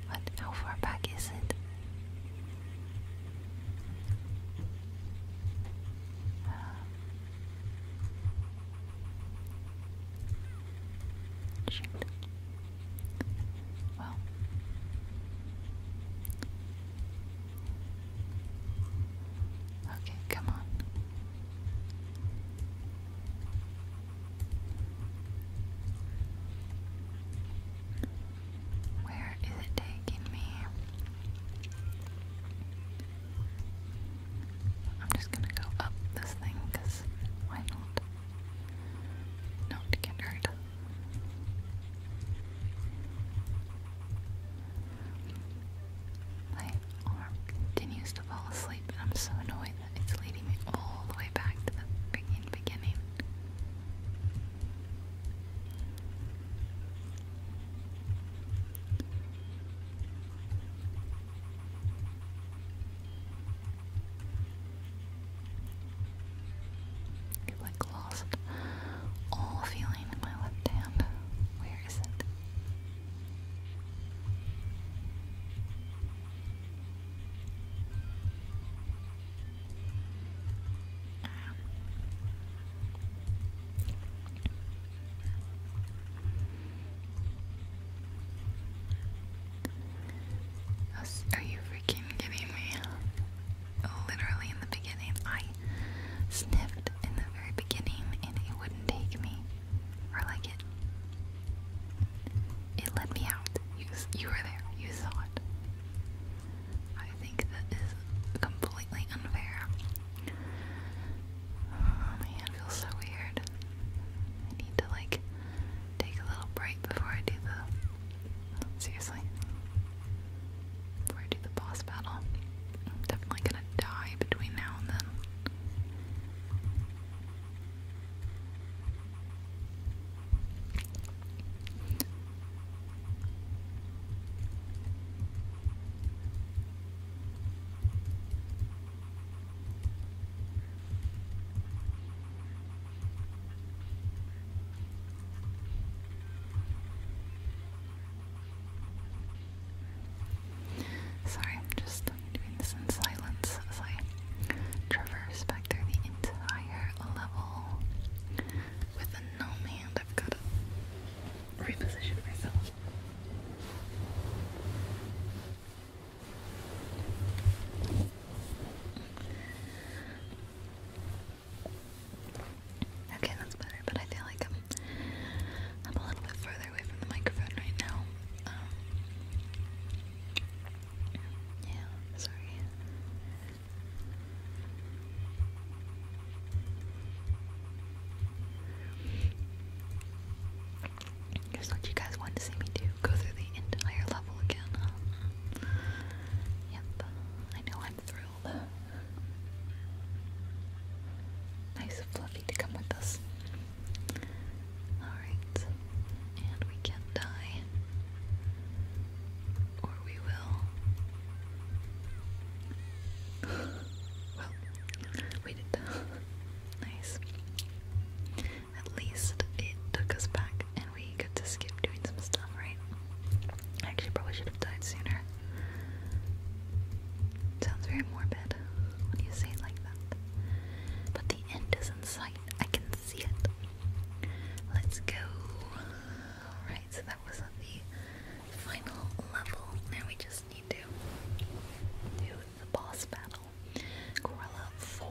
What? How far back is it? Uh, well. Okay, come on. Where is it taking me? I'm just gonna go up this thing because why not? Not get hurt. My arm continues to fall asleep, and I'm so annoyed that it's leading me all the way back to the beginning beginning. I've like lost all feeling in my left hand. Where is it? Are you freaking kidding me? Literally in the beginning, I sniffed in the very beginning and it wouldn't take me. Or like it it let me out. You you were there. You saw it. I think that is completely unfair. Oh man, feels so weird. I need to like take a little break before I do the seriously. Before I do the boss battle. I'm definitely gonna die between now and then. Sorry, I'm just doing this in silence as traverse back through the entire level. With a gnome hand, I've got to reposition myself. Okay, that's better, but I feel like I'm I'm a little bit further away from the microphone right now. Um, yeah, sorry. Here's what you guys want to see me do. Go through the entire level again. Yep. I know I'm thrilled. Nice fluffy to come with Alright. And we can't die. Or we will. well, we did nice. At least it took us back and we got to skip doing some stuff, right? I actually probably should have died sooner. It sounds very morbid when you say it like that. But the end is in sight. I can see it. Let's go. Alright, so that was the final level. Now we just need to do the boss battle. Gorilla 4.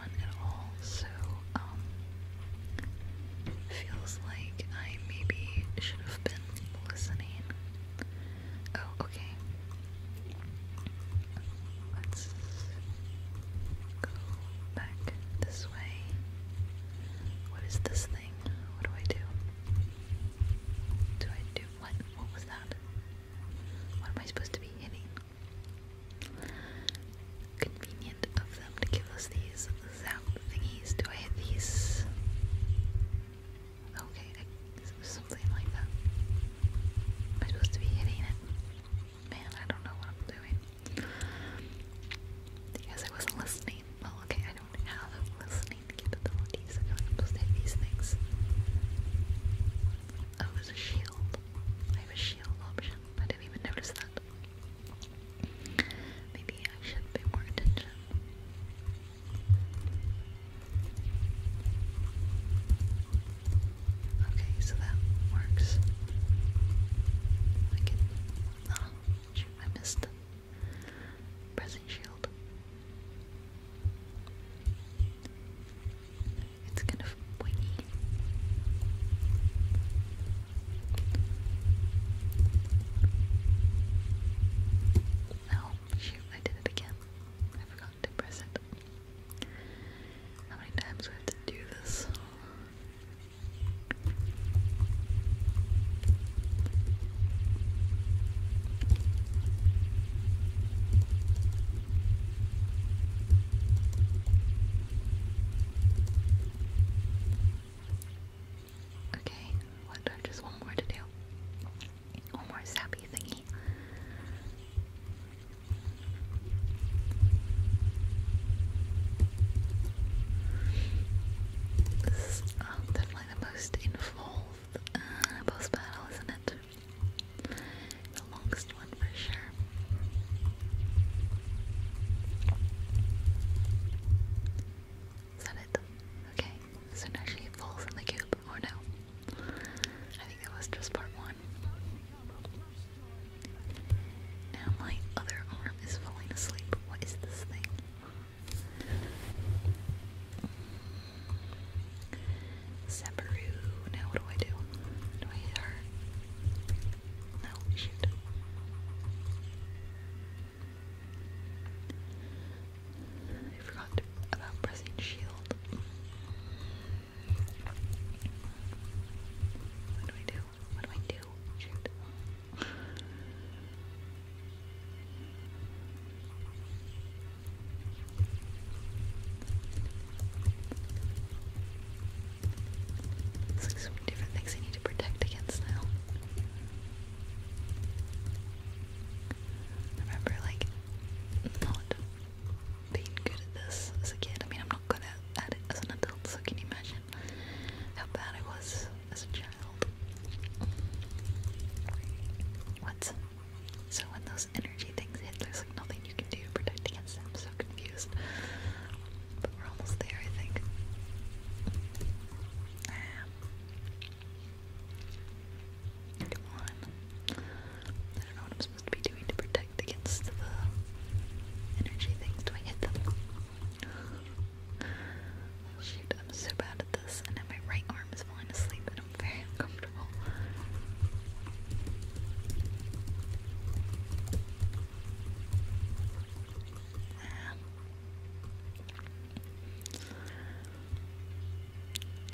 at all, so um, feels like I maybe should have been listening. Oh, okay. Let's go back this way. What is this thing? What do I do? Do I do what? What was that? What am I supposed to be hitting? Convenient of them to give us these sound thingies. Do I hit these? Okay, something like that. Am I supposed to be hitting it? Man, I don't know what I'm doing. Because I wasn't listening. Well, okay, I don't have listening capabilities. I'm supposed to hit these things. Oh, there's a shield. I have a shield option. I didn't even notice that. Maybe I should pay more attention. Okay, so that works. I can. Oh, I missed pressing shield. It's kind of pointy. Oh, shoot, I did it again. I forgot to press it. How many times do have to do this? Okay, what, just one more to do. One more sappy thingy. This is um, definitely the most involved uh, battle, isn't it? The longest is that it? Okay, so now she falls in the cube, or oh, no? I think that was just part one. Now my other arm is falling asleep. What is this thing? Separu. Now what do I do? Do I hit her? No, shoot. I forgot about pressing shield. What do I do? What do I do? Shoot. It's like so many different things I need to protect against now. remember like not being good at this as a kid. I mean I'm not good at it as an adult, so can you imagine how bad I was as a child? What? So when those energy things hit, there's like nothing you can do to protect against them. so confused. But we're almost there, I think. I I don't know what I'm supposed to be doing to protect against the energy things. Do I hit them? Oh, I'm so bad at this. And now my right arm is falling asleep and I'm very uncomfortable.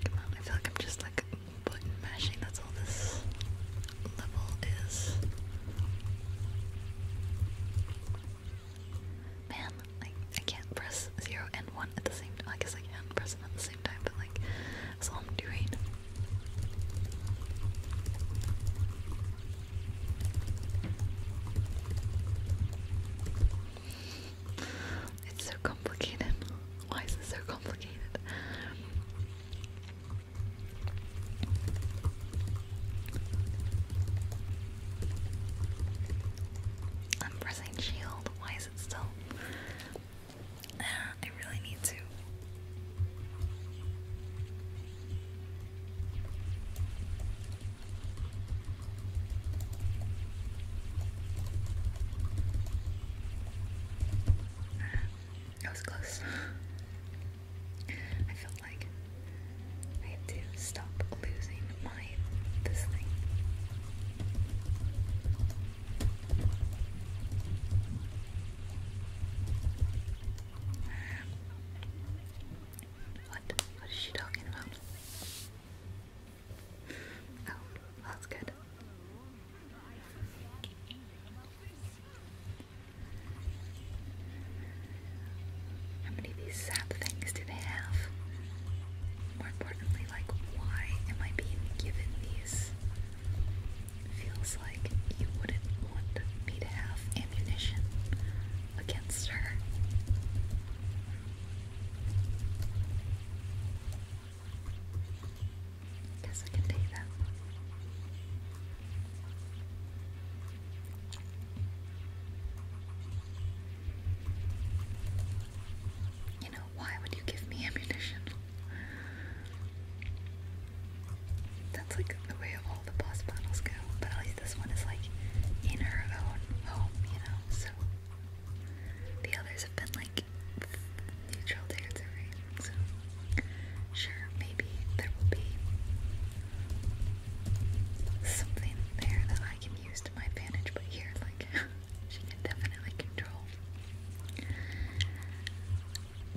Come on, I feel like I'm just like button mashing. That's all this level is. Man, like I can't press zero and one at the same time. I guess I can press them at the same time, but like that's all I'm doing. It's so complicated. Why is it so complicated? I'm pressing shield. Why is it still? Uh, I really need to. I was close. I felt like I had to stop losing my this what? What is she talking about? Oh, that's good. How many of these sad things do they have? More importantly, like, why am I being given these feels like you wouldn't want me to have ammunition against her. Guess I can take that. You know, why would you give me ammunition? That's like the way all the boss battles go, but at least this one is like in her own home, you know, so the others have been like neutral territory, so sure, maybe there will be something there that I can use to my advantage, but here, like, she can definitely control.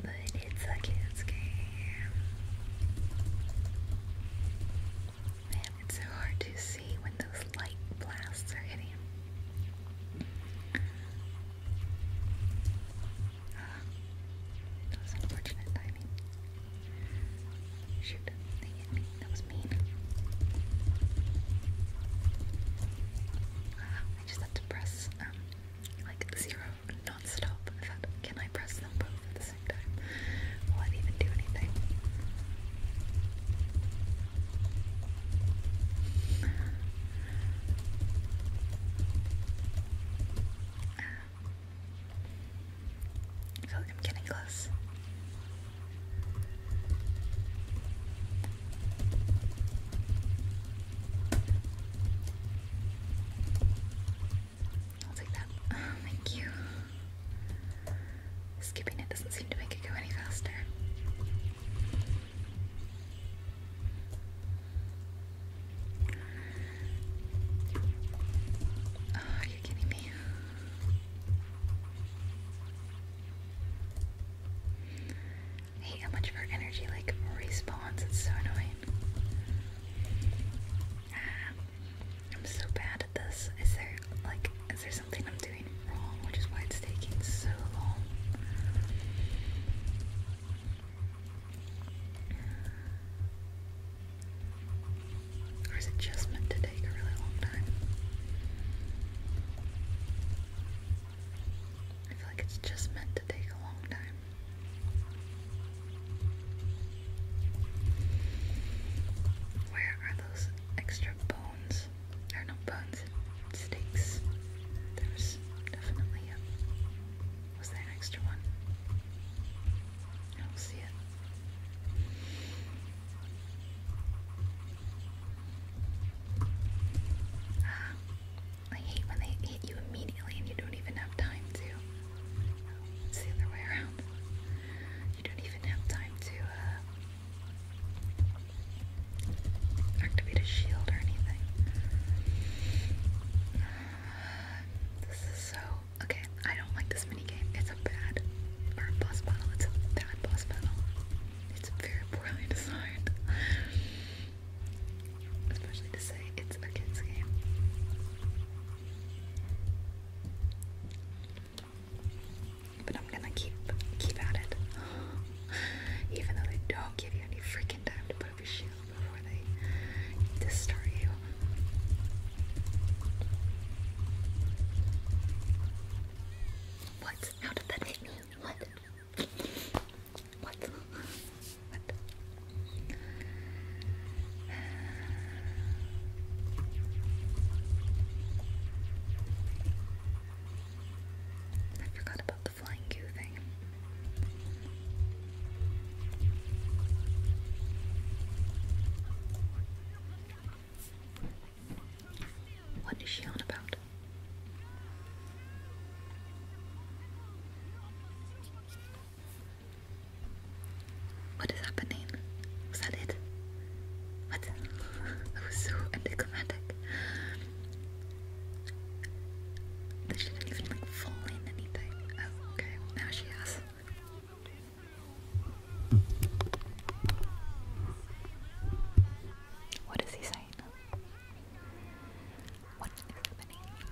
But it's a kid's game. Man, it's so hard to see when those light blasts are hitting. Ah, unfortunate timing. Shoot, That was mean. Ah, I just had to press, um, like zero non can I press them both at the same time? Will I even do anything? I feel like I'm getting close. I'll take that. Oh, thank you. Skipping it doesn't seem to make it go any faster. are oh, you kidding me? I how much of our energy like respawns. It's so annoying. I'm so bad at this. Is there like is there something I'm doing wrong, which is why it's taking so long? Or is it just meant to take a really long time? I feel like it's just meant to take a long time. Where are those extra bones? Or no bones, steaks. There was definitely a. Was there extra one? I don't see it. Ah, I hate when they hit you immediately and you don't even have time to. the other way around. You don't even have time to uh, activate a shield or anything. this is so. Okay, I don't like this minigame. It's a bad. Or boss battle. It's a bad boss battle. It's very poorly designed. Especially to say it's a kids' game. But I'm gonna keep keep at it. Even though they don't give you any freaking time to put up your shield before they destroy you. What? How did that hit me? What? What? what? I forgot about the flying goo thing. What is she on about? What is happening? Was that it? What? that was so anticlimactic. That she not even like fall in anything. Oh, okay. Now she has. What is he saying? What is happening?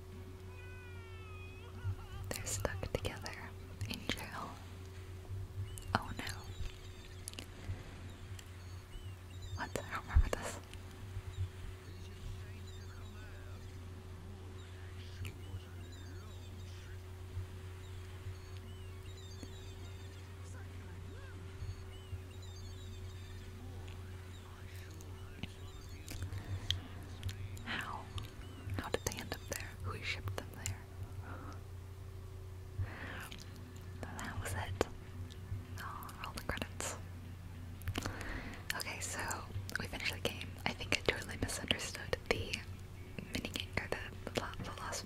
They're stuck together in jail. Oh no. What? I don't remember this. How? How did they end up there? Who shipped them there? That was it. Ah, all the credits. Okay, so we finished the game. I think I misunderstood the minigame, or the, the, last...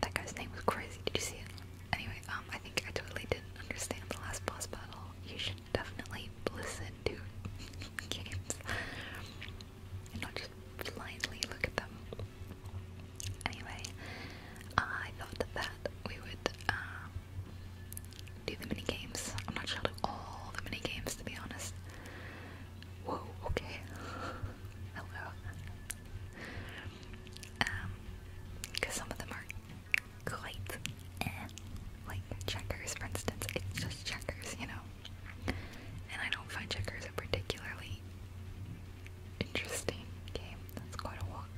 That guy's name was crazy, did you see it? Anyway, um, I think I totally didn't understand the last boss battle. You should definitely listen to games and not just blindly look at them. Anyway, uh, I thought that we would um, do the mini games. I'm not sure to do all the mini games to be honest. Whoa, okay. Hello. Um, because some of them are quite Like checkers, for instance, it's just checkers, you know? And I don't find checkers a particularly interesting game. That's quite a walk.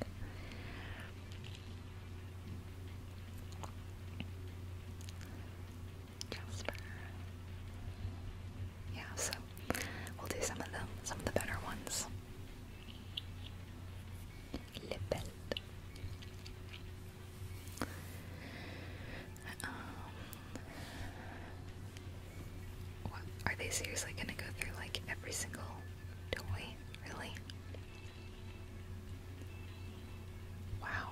Yeah, so we'll do some of them, some of the better ones. لبلد um, what, are they seriously gonna go through like every single toy? Really? Wow,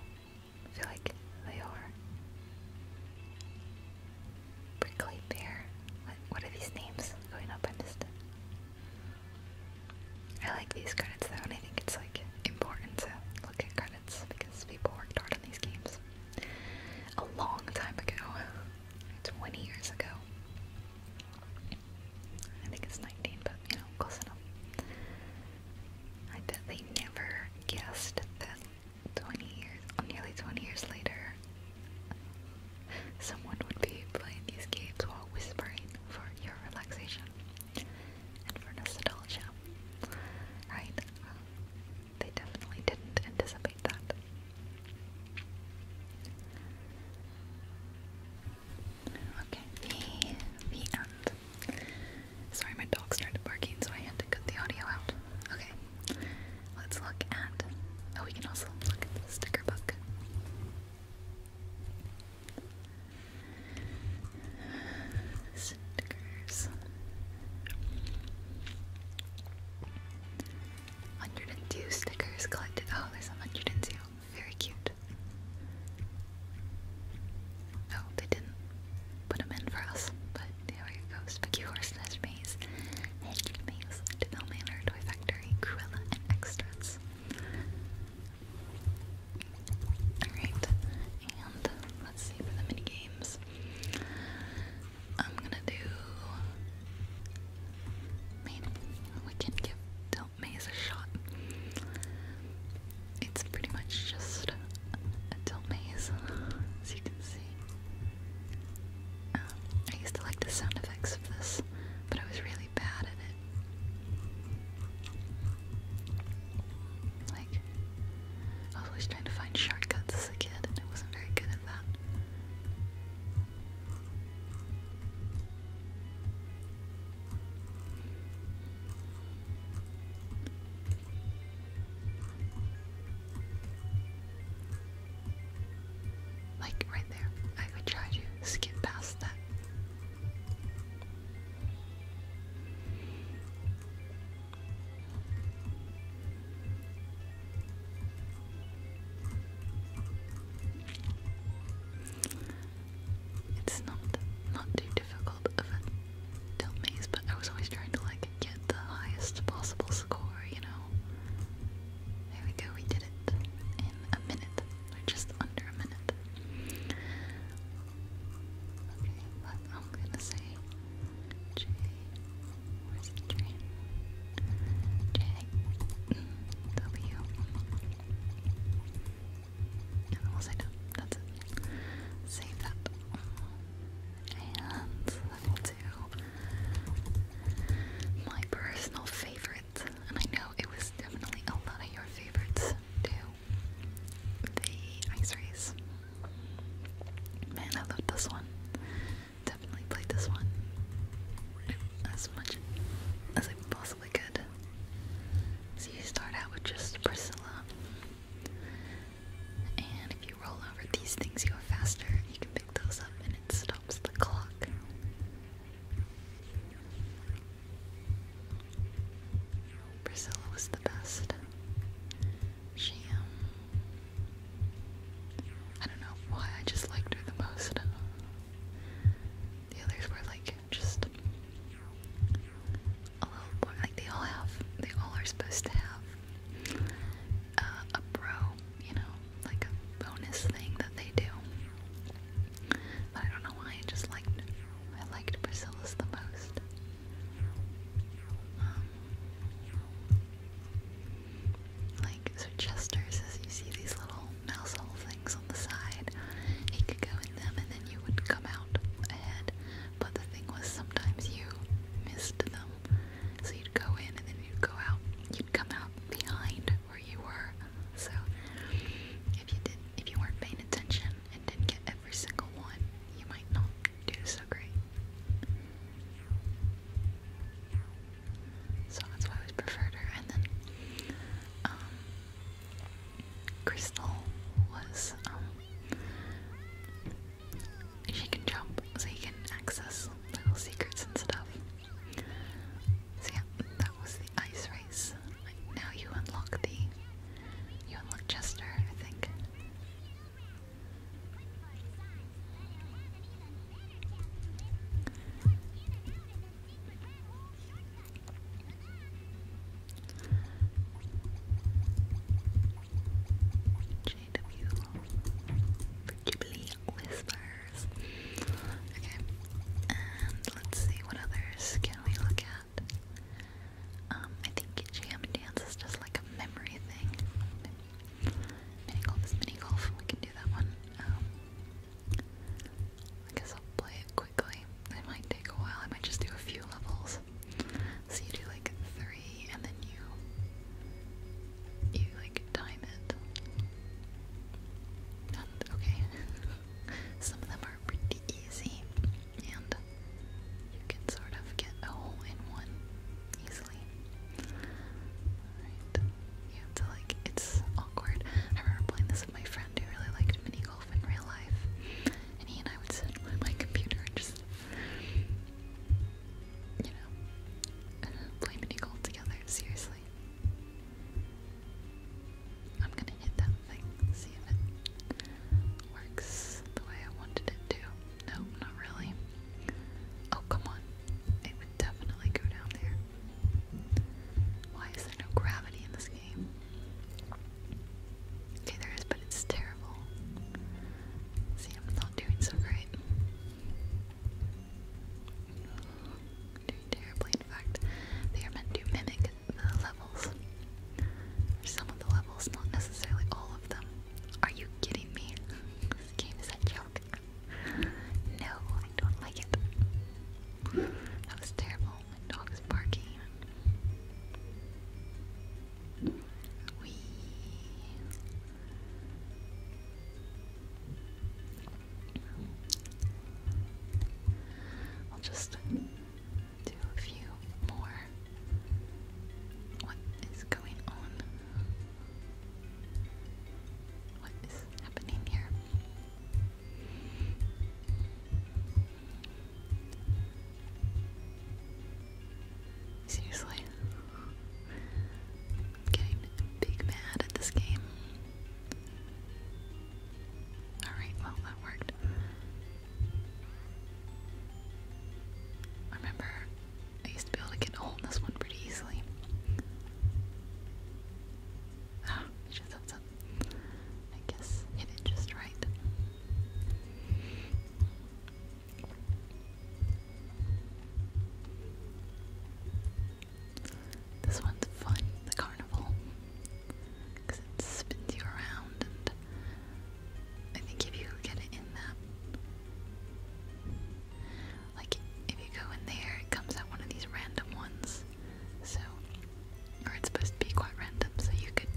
I feel like they are. Prickly Bear. What, are these names? Going up and just I like these credits though, and I think it's like important to look at credits because people worked hard on these games a long time ago, 20 years ago. I think it's 19, but you know, close enough. I bet they never guessed that 20 years, nearly 20 years later, Someone would be playing these games while whispering for your relaxation and for nostalgia. Right? they definitely didn't anticipate that. Okay, the, the end. Sorry, my dog started barking, so I had to cut the audio out. Okay, let's look at. Oh, we can also look at the sticker book. Stickers. 102 stickers collected. Oh, there's 102. Very cute. Oh, they didn't put them in for us, but there we go. Spiky Horse Maze, Hedge Maze, Devil Manor, Toy Factory, Cruella, and Extras. Alright, and let's see for the mini games. I'm gonna do. Man, we can give Tilt Maze a shot. It's pretty much just a Tilt Maze, as you can see. Um, I used to like the sound effects of this but I was really bad at it. Like, always trying to find shortcuts as a kid, and I wasn't very good at that. Like right there, I would try to skip past that it's not not too difficult of a maze, but I was always trying to like get the highest possible score, you know. There we go, we did it in a minute we're just under a minute. Okay, but I'm gonna say J. Where's the And we'll That's it. Save that. And let my personal favorite and I know it was definitely a lot of your favorites too. The Ice Race. Man, I loved this one. Definitely played this one as much as I possibly could. So you start out with just Priscilla, and if you roll over these things, you go faster. You can pick those up, and it stops the clock. Priscilla was the best. She, um, I don't know why I just liked her the most. The others were like just a little more, like they all have, they all are supposed to have uh, a pro, you know, like a bonus thing that they do. But I don't know why I just liked I liked Priscilla's the most. Um, like so Chester's is you see these little mouse things on the side. He could go in them and then you would come out ahead. But the thing was sometimes you missed them. So you'd go in and then you'd go out. You'd come out behind where you were so if you did not if you weren't paying attention and didn't get every single one, you might not do so great. So that's why I always preferred her. And then um, Crystal was um she can jump so you can access little secrets and stuff. So yeah, that was the ice race. Now you unlock the you unlock Chester, I think. JW Ghibli Whisper. Okay, and let's see what others can we look at. Um, I think jam dance is just like a memory thing. Mini golf mini golf. We can do that one. Um, I guess I'll play it quickly. It might take a while. I might just do a few levels. So you do like three, and then you you like time it. okay, Some of them are pretty easy, and you can sort of get a hole in one easily. Alright. You have to like, it's awkward. I remember playing this with my friend who really liked mini golf in real life, and he and I would sit by my computer and just, you know, play mini golf together, seriously. I'm gonna hit that thing, see if it works the way I wanted it to. Nope, not really. Oh, come on. It would definitely go down there. Why is there no gravity in this game? Okay, there is, but it's terrible. See, I'm not doing so great terribly. In fact, they are meant to mimic the levels. Some of the levels, not necessarily all of them. Are you kidding me? This game is a joke. No, I don't like it. That was terrible. My dog is barking. We I'll just do a few more. What is going on? What is happening here? Seriously? getting big mad at this game. Alright, well, that worked. I remember I used to be able to get a hole in this one pretty easily. Ah, it just up. I guess hit it just right. This one's fun, the carnival, it spins you around, and I think if you get it in that, like if you go in there, it comes out one of these random ones, so, or it's supposed to be quite random, so you could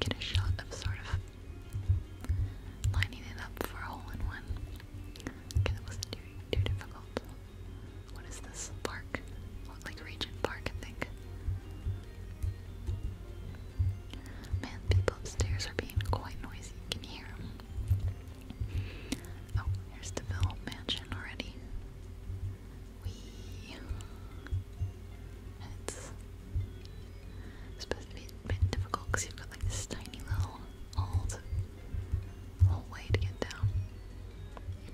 get a shot of sort of lining it up for a hole in one. Okay, that wasn't too, too difficult. What is this? Park? Like Regent Park, I think. Man, people upstairs are being quite noisy. Can you hear them? Oh, here's the Ville Mansion already. Wee. It's supposed to be a bit difficult because you've got like this tiny little old whole way to get down.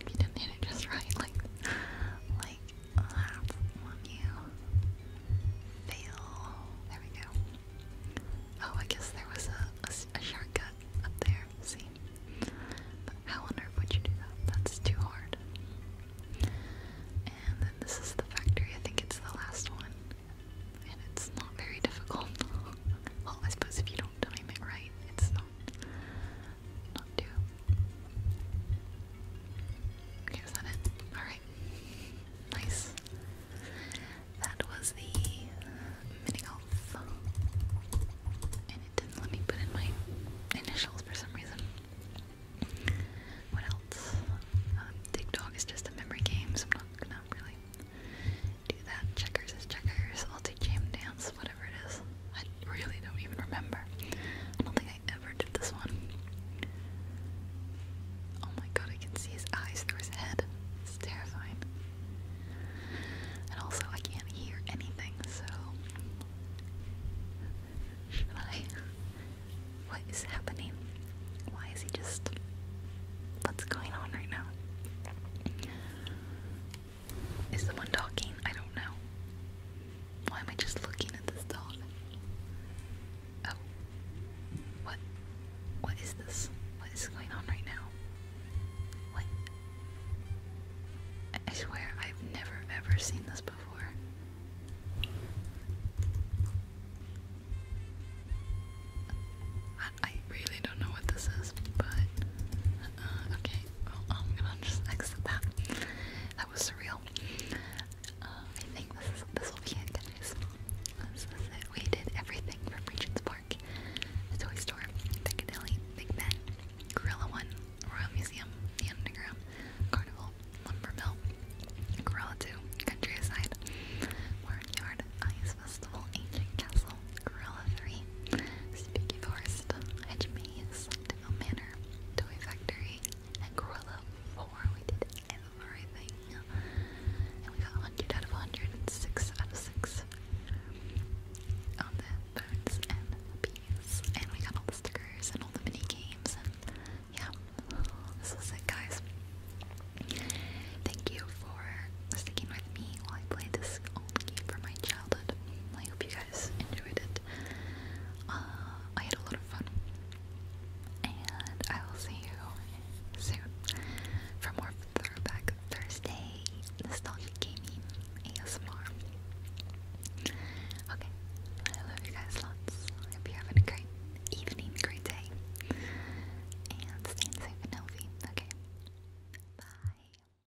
If you didn't hit it just right, like, like that's on you. Fail. There we go. Oh, I guess there was a, shortcut up there. See? how on would you do that? That's too hard. And then this is the factory. I think it's the last one. And it's not very difficult. well, I suppose if you don't time it right, it's not not Alright. Nice. That was the mini golf. And it didn't let me put in my initials for some reason. What else? Um, TikTok is just a memory game, so I'm not gonna really do that. Checkers is checkers. I'll do jam dance whatever it is. I really don't even remember. I don't think I ever did this one. Oh my god, I can see his eyes through his head. It's terrifying. And also, I can't hear anything, so. Should What is happening? Why is he just. What's going on right now? Is someone talking? I don't know. Why am I just looking at this dog? Oh. What? What is this? What is going on right now? What? I swear I've never ever seen this before. I, I really don't know what this is, but uh, okay, um, I'm gonna just exit that. That was surreal. Um, I think this this will be it, guys. We did everything from Regent's Park, Toy Store, Piccadilly, Big Ben, Gorilla One, Royal Museum, Underground, Carnival, Lumber Gorilla Two, Countryside, Warren Yard, Ice Festival, Ancient Castle, Gorilla 3, Spooky Forest, Hedge Maze, Devil Manor, Toy Factory, and Gorilla 4. We did everything. And we got 100 out of 106 out of 6 on the birds and the bees. And we got all the stickers and all the mini games. And yeah, this is it, guys. Thank you for sticking with me while I played this old game from my childhood. I hope you enjoyed it. Uh, I had a lot of fun. And I will see you soon for more Throwback Thursday Nostalgic Gaming ASMR. Okay, I love you guys lots. I hope you're having a great evening, great day. And staying safe and healthy. Okay, bye.